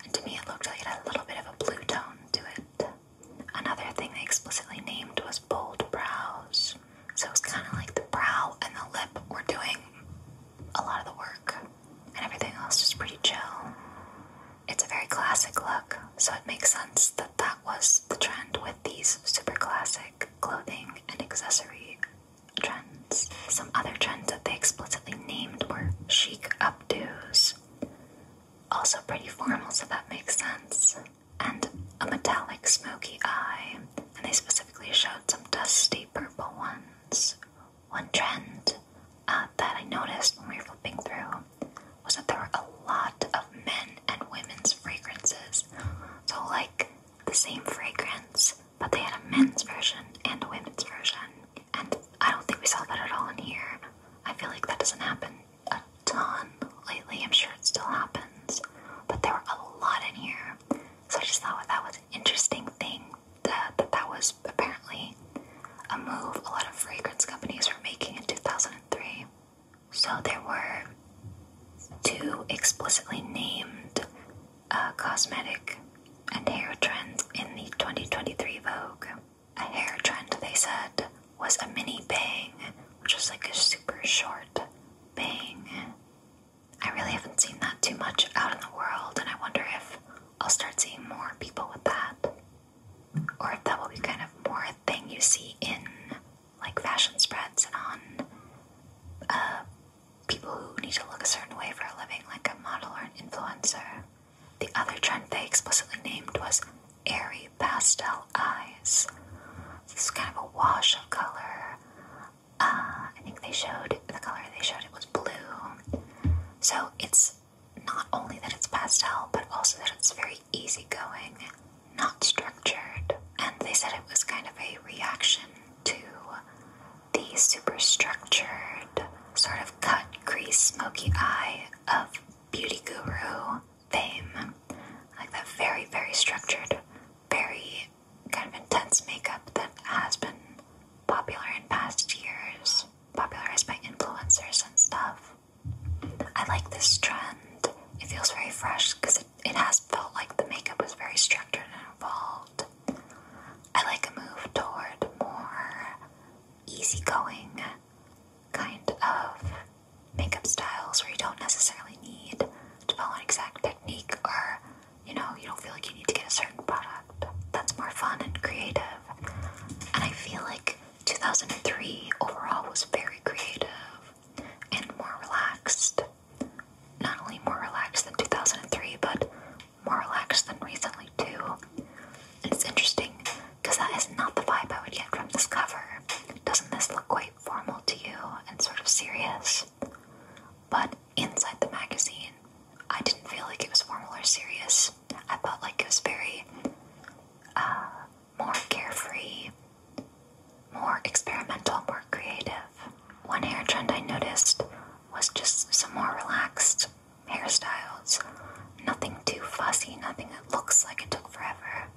and to me it looked like it had a little bit of a blue tone to it. Another thing they explicitly named was bold brows. So it's kind of like the brow and the lip were doing a lot of the work, and everything else was pretty chill it's a very classic look, so it makes sense that that was the trend with these super classic clothing and accessory trends. Some other trends that they explicitly named were chic updos, also pretty formal, so that makes sense, and a metallic smoky eye, and they specifically showed some dusty purple ones. One trend uh, that I noticed when we were flipping through was that there were a lot of men and women's fragrances. So, like the same fragrance, but they had a men's version and a women's version. And I don't think we saw that at all in here. I feel like that doesn't happen a ton lately. I'm sure it still happens, but there were a lot in here. So I just thought that was an interesting thing that, that was apparently a move a lot of fragrance companies were making in 2003. So there were two explicitly named uh, cosmetic and hair trends in the 2023 Vogue. A hair trend, they said, was a mini bang, which was like a super short bang. I really haven't seen that too much out in the world, and I wonder if I'll start seeing more people with that or if that will be kind of more a thing you see in like fashion spreads and on uh, people who need to look a certain way for a living, like a model or an influencer. The other trend they explicitly named was airy pastel eyes. this is kind of a wash of color. Uh, I think they showed the color they showed it was blue. So it's not only that it's pastel, but also that it's very easygoing, not structured. And they said it was kind of a reaction to the super structured, sort of cut, crease, smoky eye of Beauty Guru fame. Like that very, very structured, very kind of intense makeup that has been popular in past years, popularized by influencers and stuff. I like this trend. It feels very fresh because it, it has felt like the makeup was very structured and involved. I like a move toward more easygoing kind of makeup styles where you don't necessarily need to follow an exact technique or, you know, you don't feel like you need to get a certain product. That's more fun and creative. And I feel like 2003 overall was very creative and more relaxed. Not only more relaxed than 2003, but more relaxed than recently, too. it's interesting because that is not the vibe I would get from this cover. Doesn't this look quite formal to you and sort of serious? But inside the magazine, I didn't feel like it was formal or serious. I felt like it was very uh, more carefree, more experimental, more creative. One hair trend I noticed was just some more relaxed hairstyles. Nothing too fussy, nothing that looks like it took forever.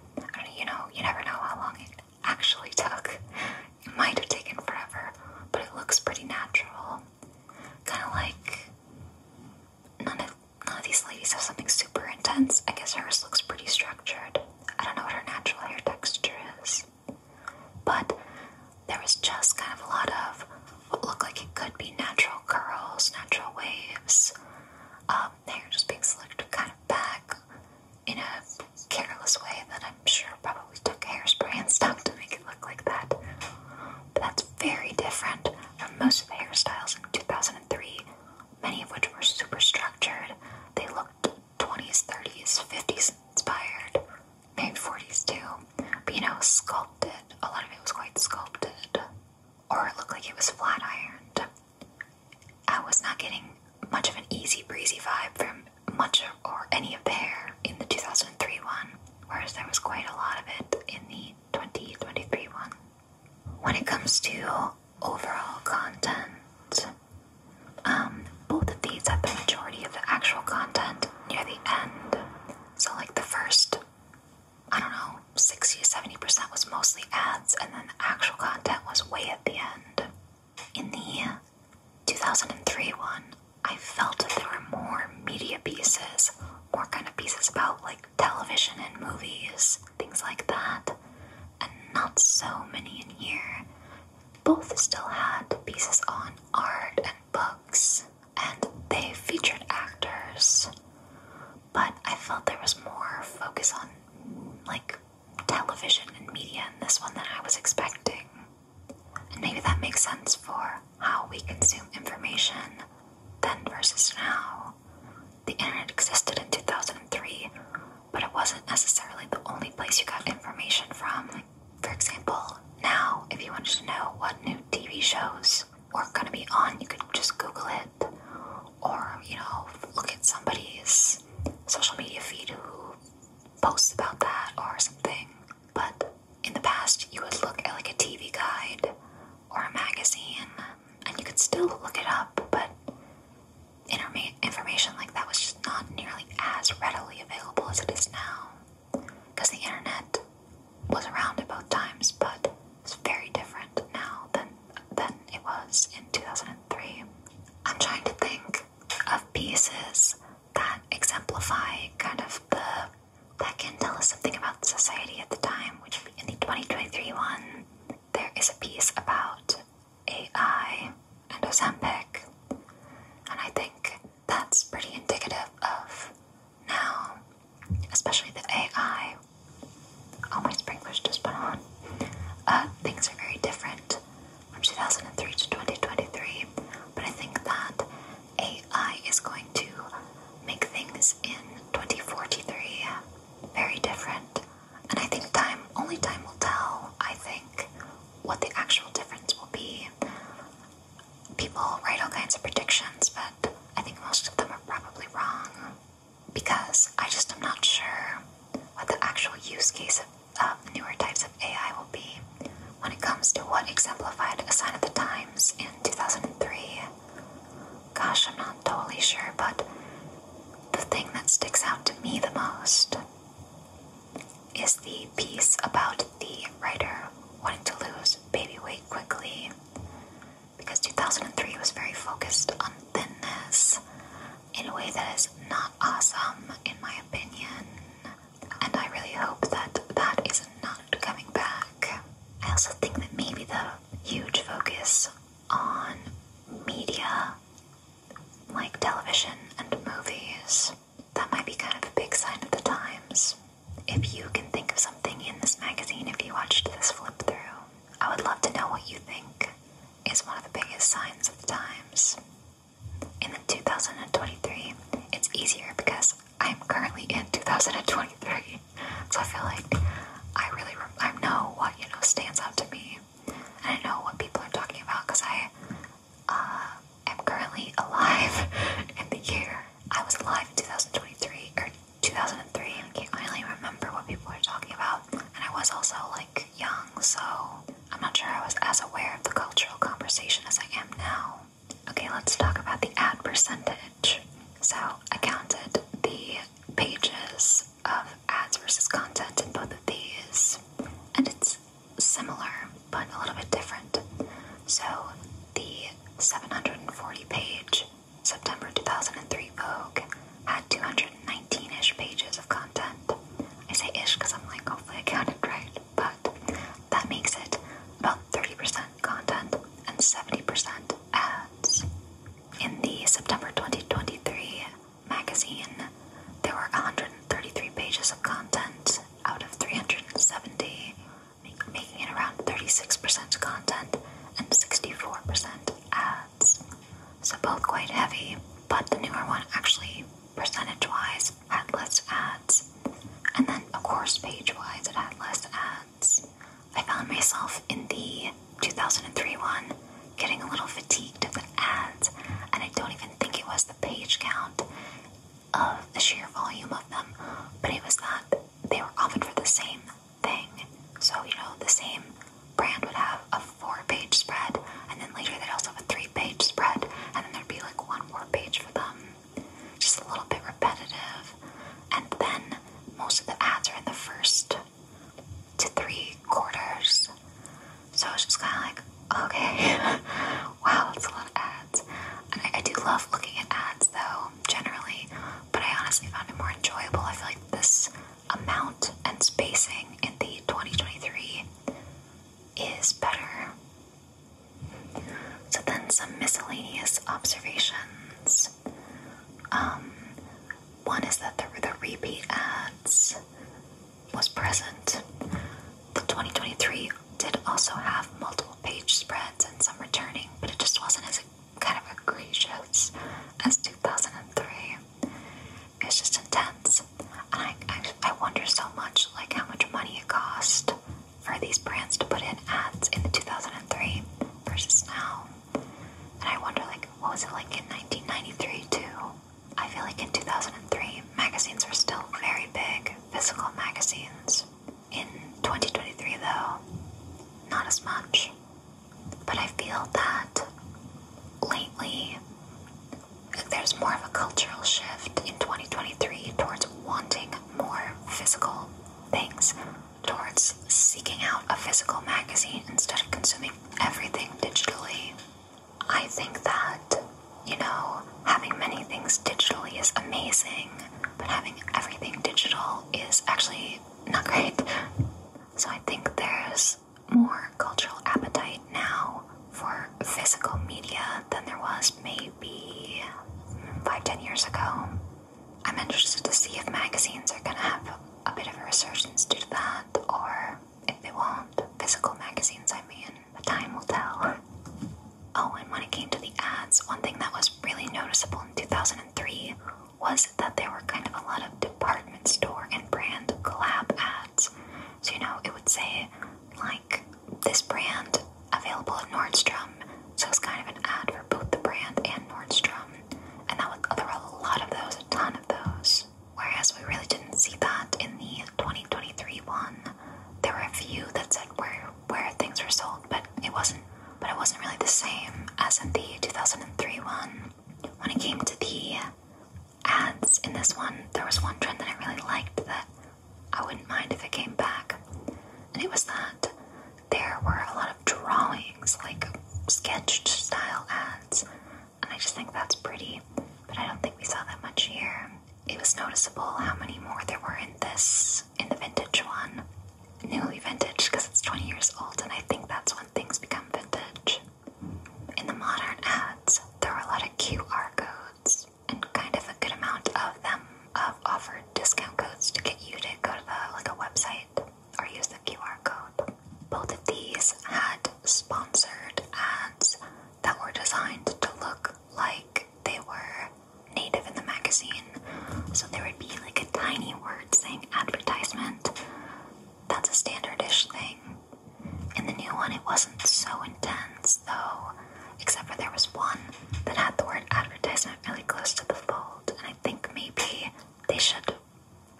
you know, you never know how long it actually took. It might have taken forever, but it looks pretty natural. Kind of like none of None of these ladies have something super intense. I guess hers looks pretty structured. I don't know what her natural hair texture is. But there was just kind of a lot of what looked like it could be natural curls, natural waves, um, hair just being slicked kind of back in a careless way that I'm sure probably took hairspray and stuff to make it look like that. But that's very different from most of the hairstyles in 2000 many of which were super structured. They looked 20s, 30s, 50s inspired, maybe 40s too. But you know, sculpted. A lot of it was quite sculpted, or it looked like it was flat ironed. I was not getting much of an easy breezy vibe from much of, or any of the hair in the 2003 one, whereas there was quite a lot of it in the 2023 one when it comes to overall content, um, both of these have the majority of the actual content near the end. So, like the first, I don't know, 60 70% was mostly ads, and then the actual content was way at the end. In the 2003 one, I felt that there were more media pieces, more kind of pieces about like television and movies, things like that, and not so many in here. Both still had pieces on art and books, and they featured actors, but I felt there was more focus on like television and media in this one than I was expecting. And maybe that makes sense for how we consume information then versus now. The internet existed in 2003, but it wasn't necessarily the only place you got information from. For example, now if you wanted to know what new TV shows were going to be on, you could just Google it or, you know, look at somebody's social media feed who posts about that or something. But in the past, you would look at like a TV guide or a magazine and you could still look it up, but information like that was just not nearly as readily available as it is now. Because the internet was around at both times, but it's very different now than, than it was in 2003. I'm trying to think of pieces that exemplify kind of the that can tell us something about society at the time, which in the 2023 one there is a piece about AI and Ozempic, and I think that's pretty indicative of now, especially the AI. Oh, my sprinklers just put on. Uh, things are very different from 2003 to 2023, but I think that AI is going to make things in 2043 very different. And I think time, only time will tell, I think, what the actual difference will be. People write all kinds of predictions, but I think most of them are probably wrong because I just am not sure what the actual use case of newer types of AI will be when it comes to what exemplified a sign of the times in 2003. Gosh, I'm not totally sure, but the thing that sticks out to me the most is the piece about the writer wanting to lose baby weight quickly because 2003 was very focused on thinness in a way that is not awesome, in my opinion. And I really hope that that is not coming back. I also think that maybe the huge focus on media like television and movies. That might be kind of a big sign of the times. If you can think of something in this magazine, if you watched this flip through, I would love to know what you think is one of the biggest signs of the times. In 2023, it's easier because I'm currently in 2023. So I feel like I really I know what you know stands out to me, and I know what people are talking about because I uh, am currently alive in the year I was alive in 2023 or 2003. I can't really remember what people are talking about, and I was also like young, so I'm not sure I was as aware of the cultural conversation as I am now. Okay, let's talk about the ad percentage. So I counted the pages of ads versus content in both of these, and it's similar but a little bit different. So, the 740 page September 2003 Vogue had 219 ish pages of content. I say ish because I'm like, hopefully I counted right, but that makes it about 30% content and 70% ads. In the September 2023 magazine, there were 133 pages of content out of 370, making it around 36% content and 64% ads. So both quite heavy, but the newer one actually, percentage wise, had less ads. And then, of course, page wise, it had less ads. I found myself in the 2003 one getting a little fatigued of the ads, and I don't even think it was the page count of the sheer volume of them, but it was that they were often for the same thing. So, you know, the same brand would have a four page spread, and then later they'd also have a three page spread, and then there'd be like one more page for them. Just a little bit repetitive. And then most of the ads are in the first to three quarters. So I was just kind of like, okay, wow, that's a lot of ads. And I, I do love looking at ads though, generally, but I honestly found it more enjoyable. I feel like this amount and spacing in the 2023 is better. So then some miscellaneous observations. Um, one is that there were the repeat ads was present. The 2023 did also have multiple page spreads and some returning, but it just wasn't as kind of egregious as 2003. It's just intense, and I, I I wonder so much like how much money it cost for these brands to put in ads in the 2003 versus now. And I wonder, like, what was it like in 1993 too? I feel like in 2003, magazines were still very big, physical magazines. In 2023, though, not as much. But I feel that lately, there's more of a cultural shift in 2023 towards wanting more physical things, towards seeking out a physical magazine instead of consuming everything digitally. I think that, you know, having many things digitally is amazing, but having everything digital is actually not great. So I think there's more cultural appetite now for physical media than there was maybe five, ten years ago. I'm interested to see if magazines are gonna have a bit of a resurgence due to that or if they won't. Physical magazines, I mean. The time will tell. Oh, and when it came to the ads, one thing that was really noticeable in 2003 was that there were kind of a lot of department store and brand collab ads. So, you know, it would say, like, this brand available at Nordstrom. So it's kind of an ad for both the brand and Nordstrom and there were a lot of those, a ton of those. Whereas we really didn't see that in the 2023 one. There were a few that said where where things were sold, but it wasn't but it wasn't really the same as in the 2003 one. When it came to the ads in this one, there was one trend that I really liked that I wouldn't mind if it came back. And it was that there were a lot of drawings, like sketched style ads and I just think that's pretty. But I don't think we saw that much here. It was noticeable how many more there were in this, in the vintage one. Newly vintage because it's 20 years old, and I think that's when things become vintage. In the modern ads, there are a lot of QR codes and kind of a good amount of them of offered discount codes to get you to go to the like a website or use the QR code. Both of these had sponsored ads that were designed to look like they were native in the magazine. So there would be like a tiny word saying advertisement. That's a standardish thing. In the new one, it wasn't so intense though, except for there was one that had the word advertisement really close to the fold, and I think maybe they should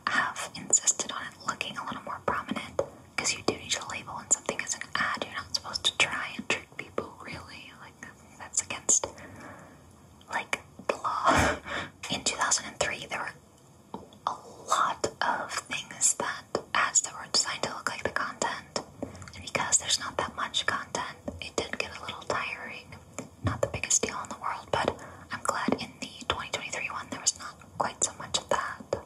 have insisted on it looking a little more prominent because you do need to label when something is an ad. You're not supposed to try and trick people, really. Like, that's against, like, the law. In 2003, there were a lot of things that ads that were designed to look like the content. And because there's not that much content, it did get a little tiring. Not the biggest deal in the world, but I'm glad in the 2023 one, there was not quite so much of that.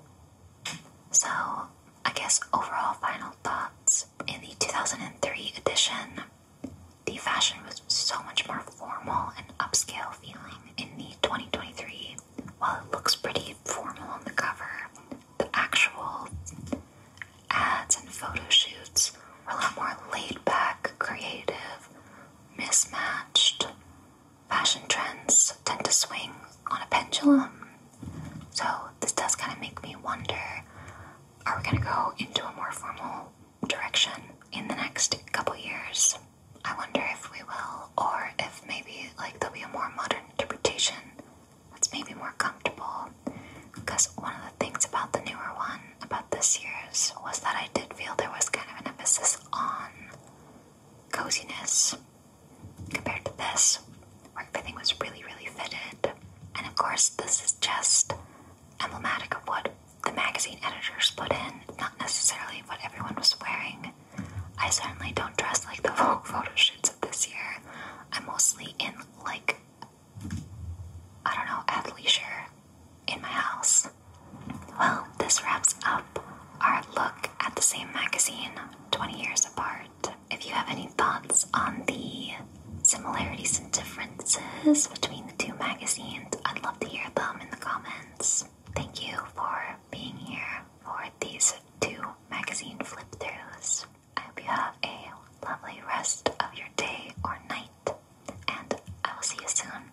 So, I guess overall final thoughts. In the 2003 edition, the fashion was so much more formal and upscale feeling. In the 2023, while it looks pretty formal on the cover, the actual ads and photo shoots were a lot more laid back, creative, mismatched, fashion trends tend to swing on a pendulum. So this does kind of make me wonder are we going to go into a more formal direction in the next couple years? I wonder if we will, or if maybe like there'll be a more modern interpretation that's maybe more comfortable. Because one of the things about the newer one, about this year's, was that I did feel there was kind of an emphasis on coziness compared to this, where everything was really, really fitted. And of course, this is just emblematic of what the magazine editors put in, not necessarily what everyone was wearing. I certainly don't dress like the Vogue photo shoots of this year. I'm mostly in, like, I don't know, athleisure in my house. Well, this wraps up our look at the same magazine 20 years apart. If you have any thoughts on the similarities and differences between the two magazines, I'd love to hear them in the comments. Thank you for being here for these two magazine flip throughs. I hope you have a lovely rest of your day or night, and I will see you soon.